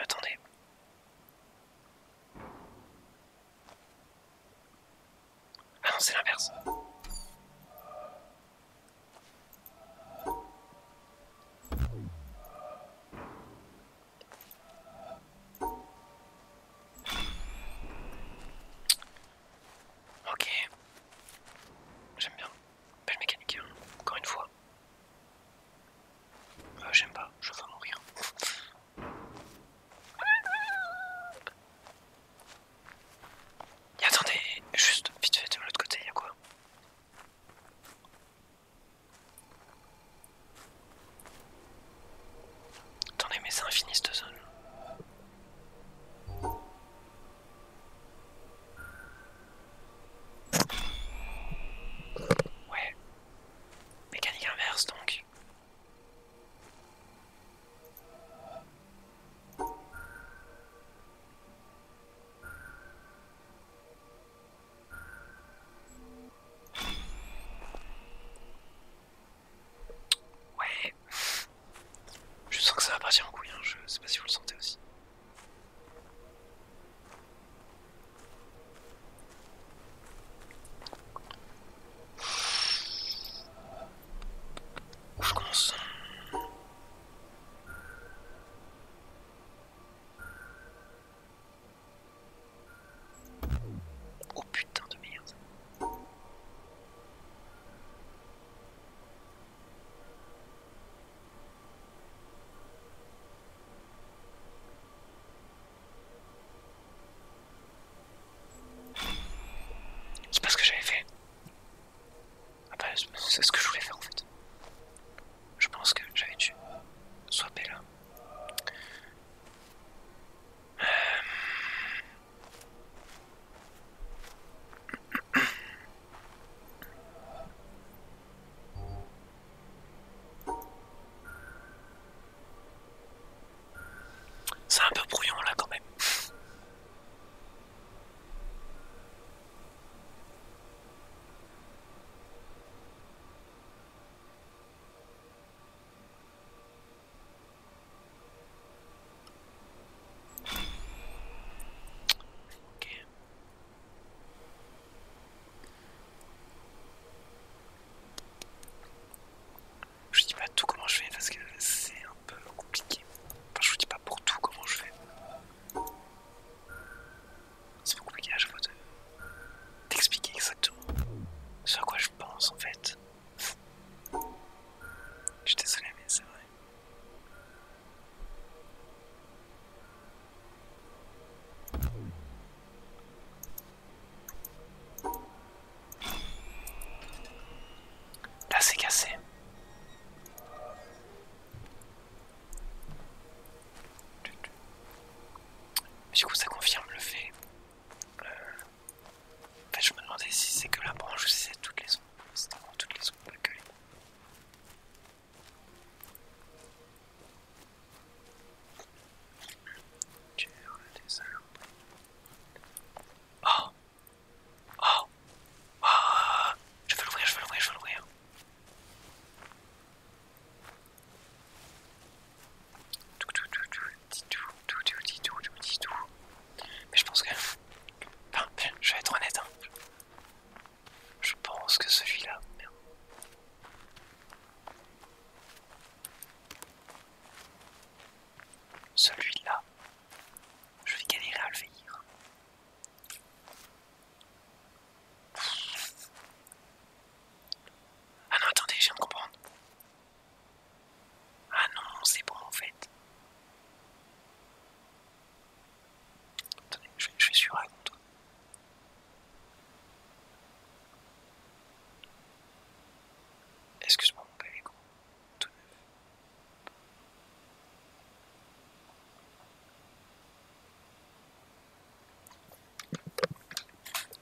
Attendez. Ah non, c'est l'inverse. Ok. J'aime bien. Belle mécanique, hein. encore une fois. Ah J'aime pas, je vais mourir. attendez, juste vite fait de l'autre côté, y'a quoi Attendez, mais c'est infini cette zone. Ouais. Mécanique inverse donc. Ouais. Je sens que ça va partir en couille, hein. je sais pas si vous le sentez aussi. Où je commence Oh putain de merde. C'est pas ce que j'avais fait. Ah bah, c'est ce que je voulais faire en fait. Je pense que j'avais dû swapper là. Euh, c'est un peu bruyant, là quand même. Je dis pas tout comment je fais parce que c'est un peu compliqué. Enfin, je vous dis pas pour tout comment je fais. C'est compliqué à chaque fois d'expliquer exactement ce à quoi je pense en fait. Je t'ai désolé, mais c'est vrai. Là, c'est cassé. du coup, ça confirme le fait euh, en fait, je me demandais si c'est que la branche ou si c'est toutes les ondes. C'est vraiment toutes les ondes, pas que Oh Oh Oh Je veux l'ouvrir, je veux l'ouvrir, je veux l'ouvrir. Tout, tout, tout, tout, tout, tout, tout, tout, tout, tout, tout, tout, mais je pense que... Enfin, je vais être honnête. Hein. Je pense que celui-là... Celui-là, je vais galérer à le veillir. Ah non, attendez, je viens de comprendre. Ah non, c'est bon en fait. Attendez, je, vais suis sur un compte. Excuse-moi mon pavé, Tout neuf.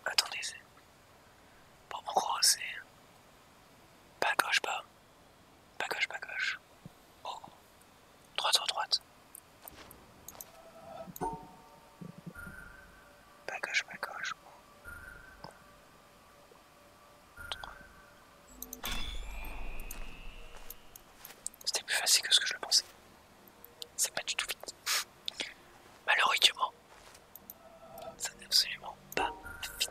Attendez, c'est... Bon, en gros, c'est... Pas gauche, pas. Bagage, gauche, gauche. Oh. Droite, droite. Pas gauche, C'était plus facile que ce que je le pensais. C'est pas du tout vite. Malheureusement, ça n'est absolument pas vite.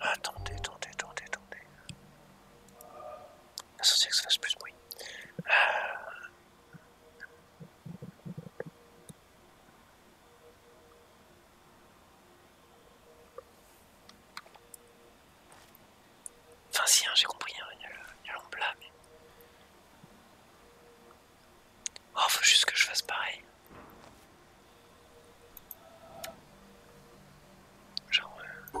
Attendez, attendez, attendez, attendez. Associé que ça fasse plus de bruit. Euh... Enfin si, hein, j'ai compris, il y a l'ombre là, mais... Oh, faut juste que je fasse pareil. J'en veux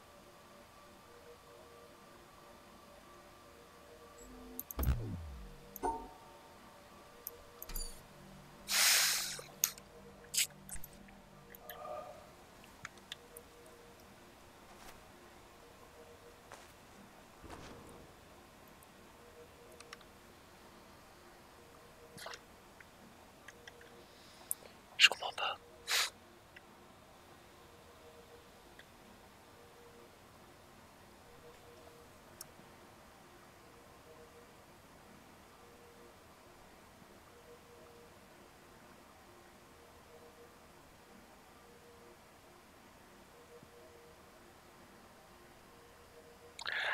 Je comprends pas.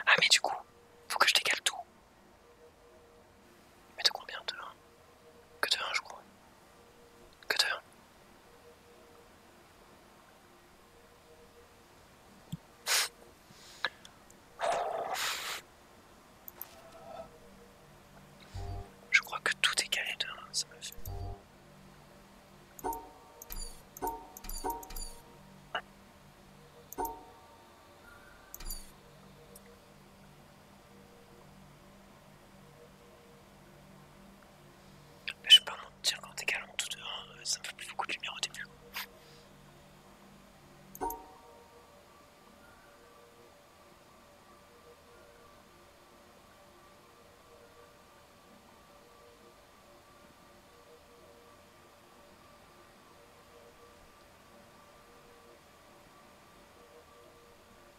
Ah mais du coup, faut que je décale tout. Mais de combien de 1 Que de je crois. Que de je crois que tout est calé là, ça me fait je peux pas mentir, quand t'es calme tout dehors, euh, ça me fait plus beaucoup de lumière au début.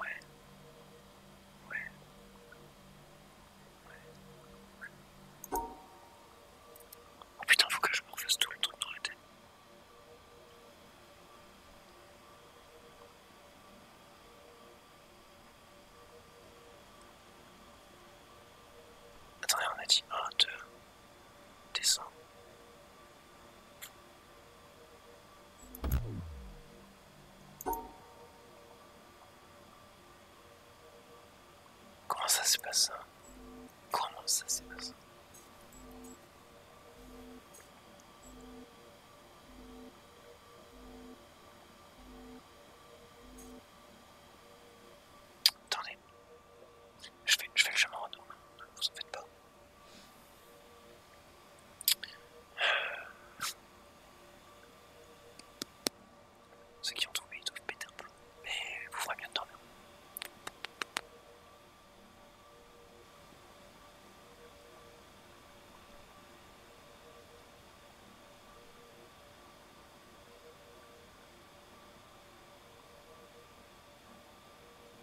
Ouais. Ouais. Ouais. Oh putain, faut que je me refasse tout le truc dans la tête. Attendez, on a dit 1, 2... Comment ça se passe hein? Comment ça se passe je fais, je le chemin en ne vous en faites pas. Ceux qui ont trouvé, ils doivent péter un peu, mais vous ferez bien de dormir.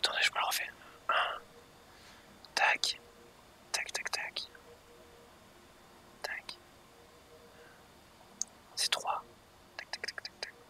attendez, je me le refais. Tac. Tac, tac, tac. Tac. C'est trois. tac, tac, tac, tac.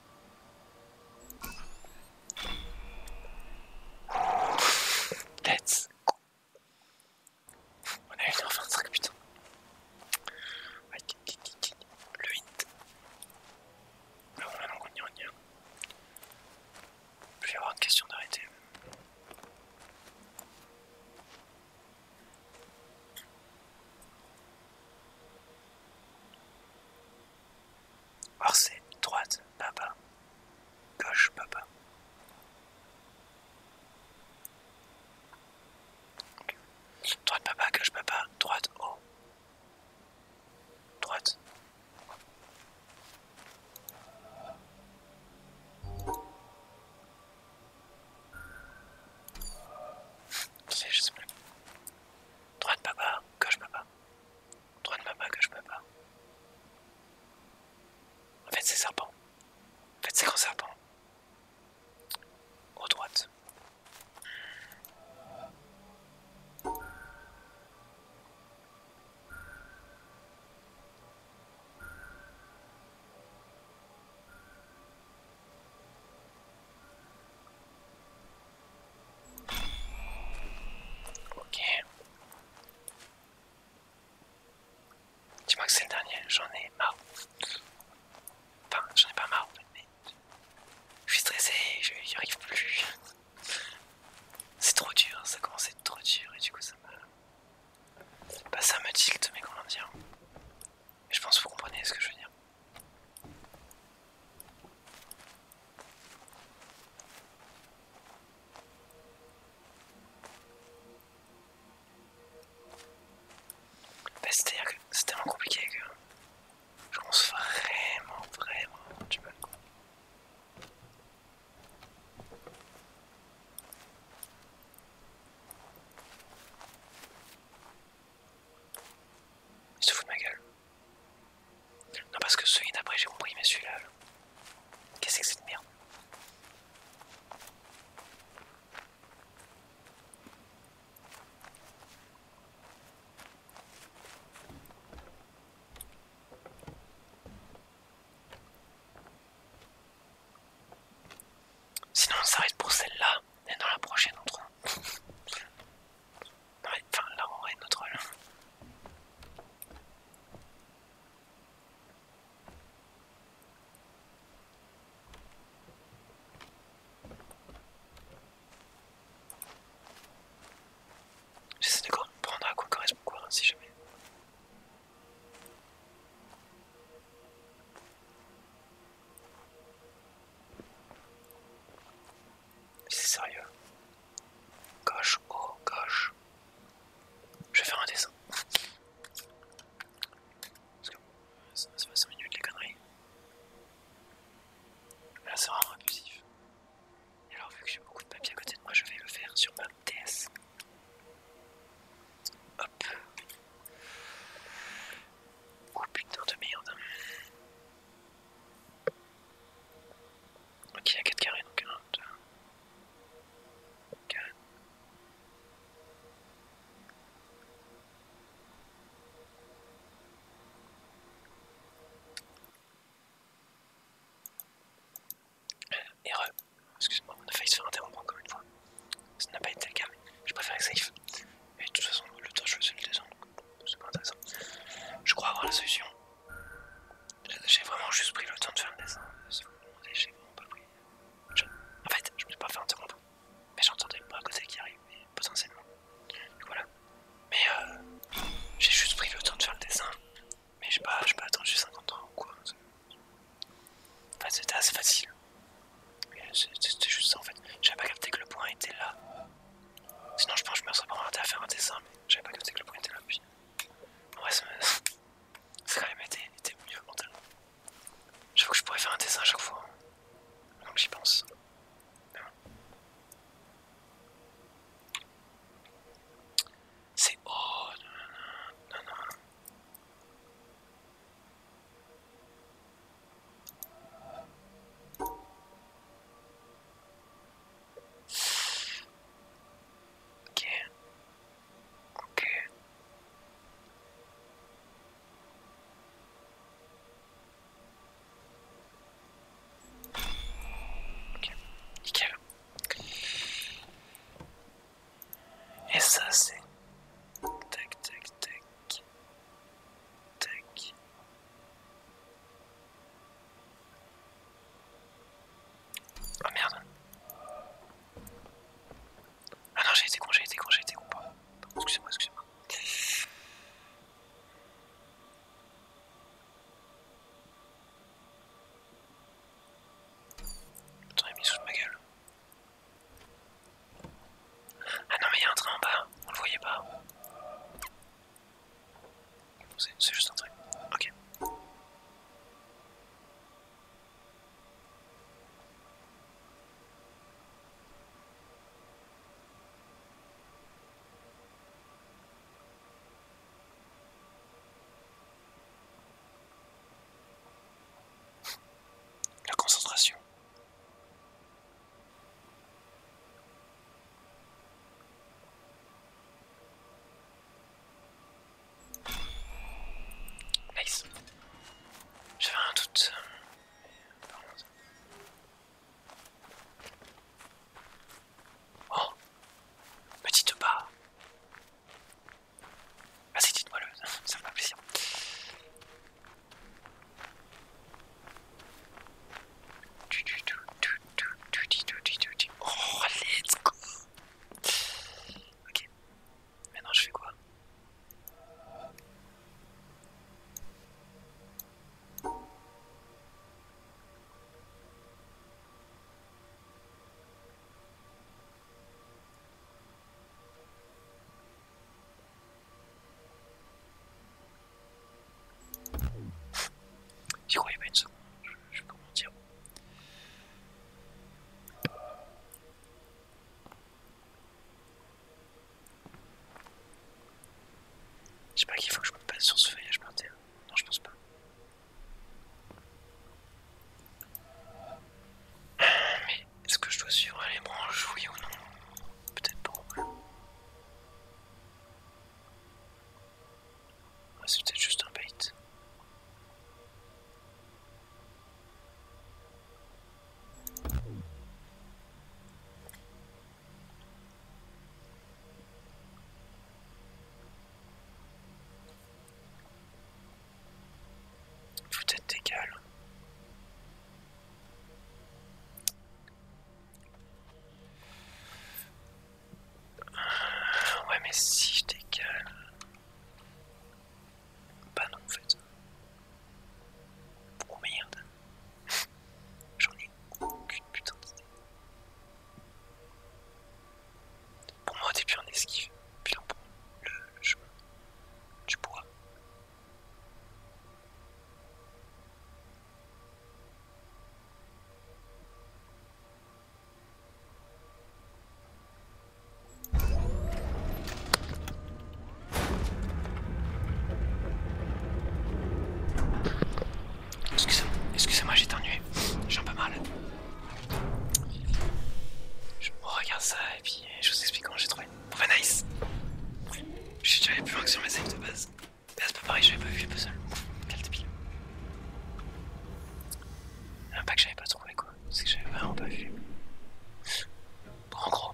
On go. On a 1h25, putain. Le hit. Non, non, non, on y on y Je vais avoir une question d'arrêter c'est droite, papa. Gauche, papa. Droite, papa, gauche, papa. Droite, haut. Droite. Je Droite, papa. Gauche, papa ma pas que je pas. En fait, c'est serpent. En fait, c'est grand serpent. Au droite. Ok. Dis-moi que c'est le dernier, j'en ai marre. Enfin, j'en ai pas marre, mais... Je suis stressé, je arrive plus. C'est trop dur, ça commence à être trop dur et du coup ça me... Bah ça me tilt mais comment dire Je pense que vous comprenez ce que je veux dire. Bah, c'est à dire que c'est tellement compliqué que je pense vraiment, vraiment du mal. Je te fous de ma gueule. Non, parce que celui d'après j'ai compris, mais celui-là. Là. quest ce que c'est que cette merde Sinon on s'arrête pour celle-là et dans la prochaine on trouve. Ouais, enfin là on est notre rôle. J'essaie de prendre à quoi correspond quoi, si jamais. C'est sérieux. Gauche, haut, oh, gauche. Je vais faire un dessin. Parce que ça va 5 minutes les conneries. Là c'est vraiment abusif. Et alors vu que j'ai beaucoup de papier à côté de moi, je vais le faire sur ma DS. Hop. Oh putain de merde. Ok, il y a 4 carrés donc 1, 2, 4. Erreur, excuse-moi, on a failli se faire interrompre encore une fois. Ça n'a pas été le cas, mais je préfère être safe. Et de toute façon, le temps je vais le descendre, donc c'est pas intéressant. Je crois avoir la solution. J'ai vraiment juste pris le temps de faire le dessin. j'ai vraiment pas pris. En fait, je ne suis pas fait un Mais j'entendais pas à côté qui arrive, potentiellement. voilà. Mais euh, j'ai juste pris le temps de faire le dessin. Mais j'ai pas, pas attendu 50 ans ou quoi. Enfin, c'était assez facile. C'était juste ça en fait. J'avais pas capté que le point était là. Sinon, je pense que je me serais pas arrêté à faire un dessin, mais j'avais pas c'est que le point était là. Puis... En vrai, quand même été, mieux mentalement. J'avoue que je pourrais faire un dessin à chaque fois. Hein. Donc j'y pense. C'est oh non non non. Ok. Ok. Ok. Ok Et ça c'est... Tac, tac, tac. Tac, Oh merde. Ah non, j'ai été con, j'ai été con, j'ai été con. Excusez-moi, excusez-moi. Attends, il mis sous ma gueule. Ah non, mais il y a un train en bas, on le voyait pas. C'est juste un truc. Ok. La concentration. Nice. J'avais un doute. Oh Petite barre. Ah, Assieds-toi, moelleuse, ça me fait plaisir. Oh, let's go Ok. Maintenant, je fais quoi J'y croyais pas une seconde, je, vais comment dire. Je sais pas qu'il faut que je me passe sur ce feuillage par terre. Non, je pense pas. Mais est-ce que je dois suivre les branches, oui ou non Peut-être pas. Ah, c'est peut-être juste un bait. peut-être des gueules ouais, mais si je décale. Bah non, en fait. Oh merde. J'en ai aucune putain d'idée. Pour moi, au début, on esquive. Puis on prend le, le chemin du bois. Excusez-moi, excusez j'ai t'ennuyé. j'ai un peu mal. Je regarde ça et puis je vous explique comment j'ai trouvé. Enfin nice Je suis déjà allé plus loin que sur mes save de base. Ah, c'est pas pareil, j'avais pas vu le puzzle. Quel débile. pack que j'avais pas trouvé quoi, c'est que j'avais vraiment pas vu. en gros,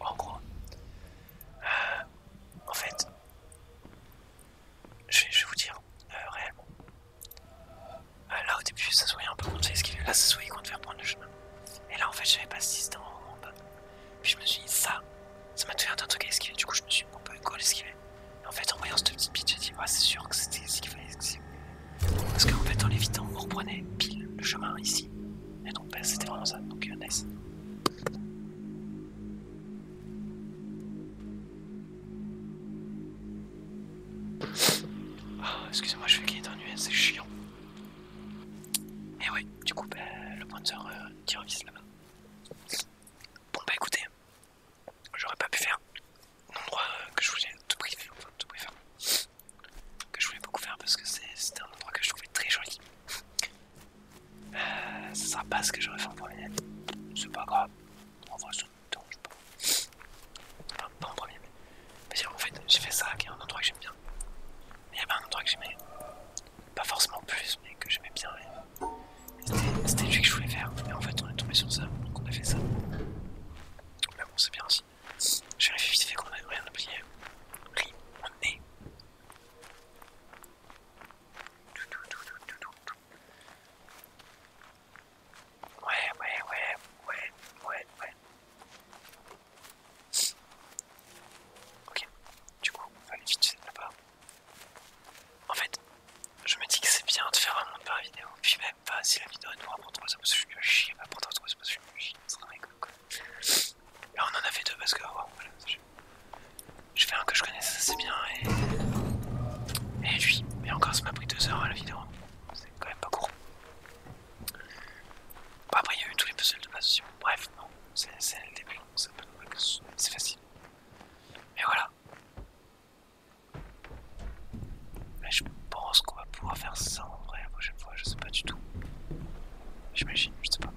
en gros, euh, en fait, je vais, vous dire euh, réellement. Euh, là au début, ça se voyait un peu contre a là ça se voyait contre faire prendre le chemin. Et là en fait, j'avais pas 6 dans en bas. Puis je me suis dit, ça, ça m'a fait un truc à esquiver. Du coup, je me suis dit, bon, bah, ce l'esquiver. Et en fait, en voyant cette petite bite, j'ai dit, ouais, c'est sûr que c'était ce qu'il fallait Parce qu'en fait, en l'évitant, on reprenait pile le chemin ici. Et donc, bah, c'était vraiment ça. Donc, euh, nice. Oh, Excusez-moi, je fais qu'il d'ennui, c'est chiant. Et oui, du coup, bah, le pointeur tire euh, qui là-bas. Bon bah écoutez, j'aurais pas pu faire l'endroit que je voulais tout préférer, enfin que je voulais beaucoup faire parce que c'était un endroit que je trouvais très joli. Euh, ça sera pas ce que j'aurais fait en premier, c'est pas grave, en vrai ça me dérange pas. Enfin, pas en premier, mais, en fait j'ai fait ça qui est un endroit que j'aime bien. Mais il y pas un endroit que j'aimais pas forcément plus, mais que j'aimais bien. C'était lui que je voulais faire, mais en fait on est tombé sur ça, donc on a fait ça. Mais bon, c'est bien aussi. J'ai réfléchi, vite fait qu'on a rien oublié. Oui, on est. Ouais, ouais, ouais, ouais, ouais, ouais. Ok, du coup, on va aller vite là-bas. En fait, je me dis que c'est bien de faire un monde par vidéo. Puis même pas si la vidéo est trois, c'est parce que je chie, elle c'est parce que je chie, ça serait rigolo quoi. Et on en a fait deux parce que, oh, je... fais un que je connais, ça c'est bien, et... Et lui, mais encore ça m'a pris deux heures hein, la vidéo, c'est quand même pas court. Bon, après il y a eu tous les puzzles de base aussi, bref, non, c'est le début, c'est facile. Mais voilà. Mais je pense qu'on va pouvoir faire ça en vrai la prochaine fois, je sais pas du tout. J'imagine, je sais pas.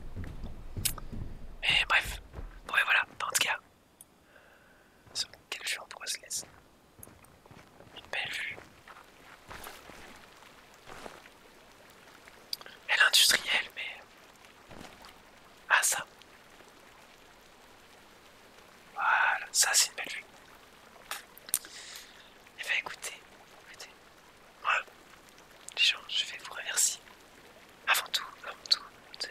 Mais bref, ouais voilà, en tout cas. quelle vue on se Une belle vue. Elle est industrielle, mais ah ça. Voilà, ça c'est une belle vue. Et eh bien écoutez, écoutez. Moi, les gens, je vais vous remercier. Avant tout, avant tout, de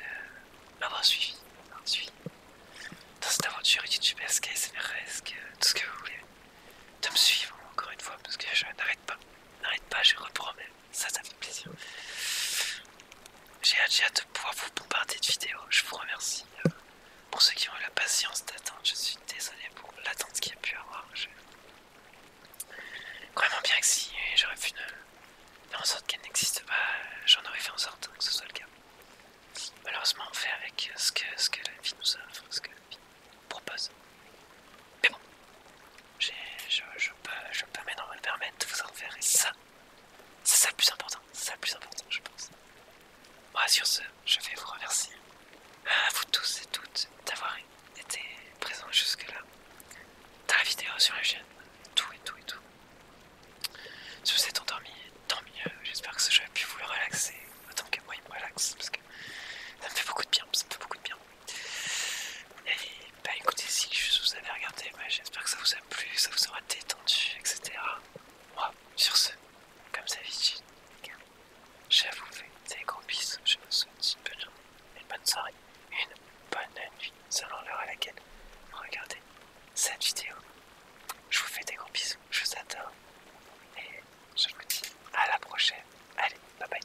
m'avoir suivi. suivi. Dans cette aventure YouTube SMResque, tout ce que vous voulez. De me suivre encore une fois, parce que je n'arrête pas. N'arrête pas, je reprends même ça, ça fait plaisir. J'ai hâte, de pouvoir vous bombarder de vidéos. Je vous remercie euh, pour ceux qui ont eu la patience d'attendre. Je suis désolé pour l'attente qu'il y a pu avoir. Je... Vraiment bien que si j'aurais pu faire en sorte qu'elle n'existe pas, j'en aurais fait en sorte que ce soit le cas. Malheureusement, on fait avec ce que, ce que la vie nous offre, ce que la vie propose. Mais bon, je, peux, je maintenant me le permettre de vous en faire, et ça, c'est ça le plus important, c'est ça le plus important, je pense. Moi, sur ce, je vais vous remercier, à vous tous et toutes, d'avoir été présents jusque-là, dans la vidéo sur la tout et tout et tout. Si vous êtes endormi, tant mieux, j'espère que ce jeu a pu vous le relaxer, autant que moi il me relaxe, parce que ça me fait beaucoup de bien, ça me fait beaucoup de bien. Et bah écoutez, si je vous avez regardé, bah, j'espère que ça vous a plu, ça vous aura détendu, etc. Moi, sur ce, comme d'habitude, je vous fais des gros bisous, je vous souhaite une bonne journée, une bonne soirée, une bonne nuit, selon l'heure à laquelle vous regardez cette vidéo. Je vous fais des gros bisous, je vous adore, et je vous dis à la prochaine. Allez, bye bye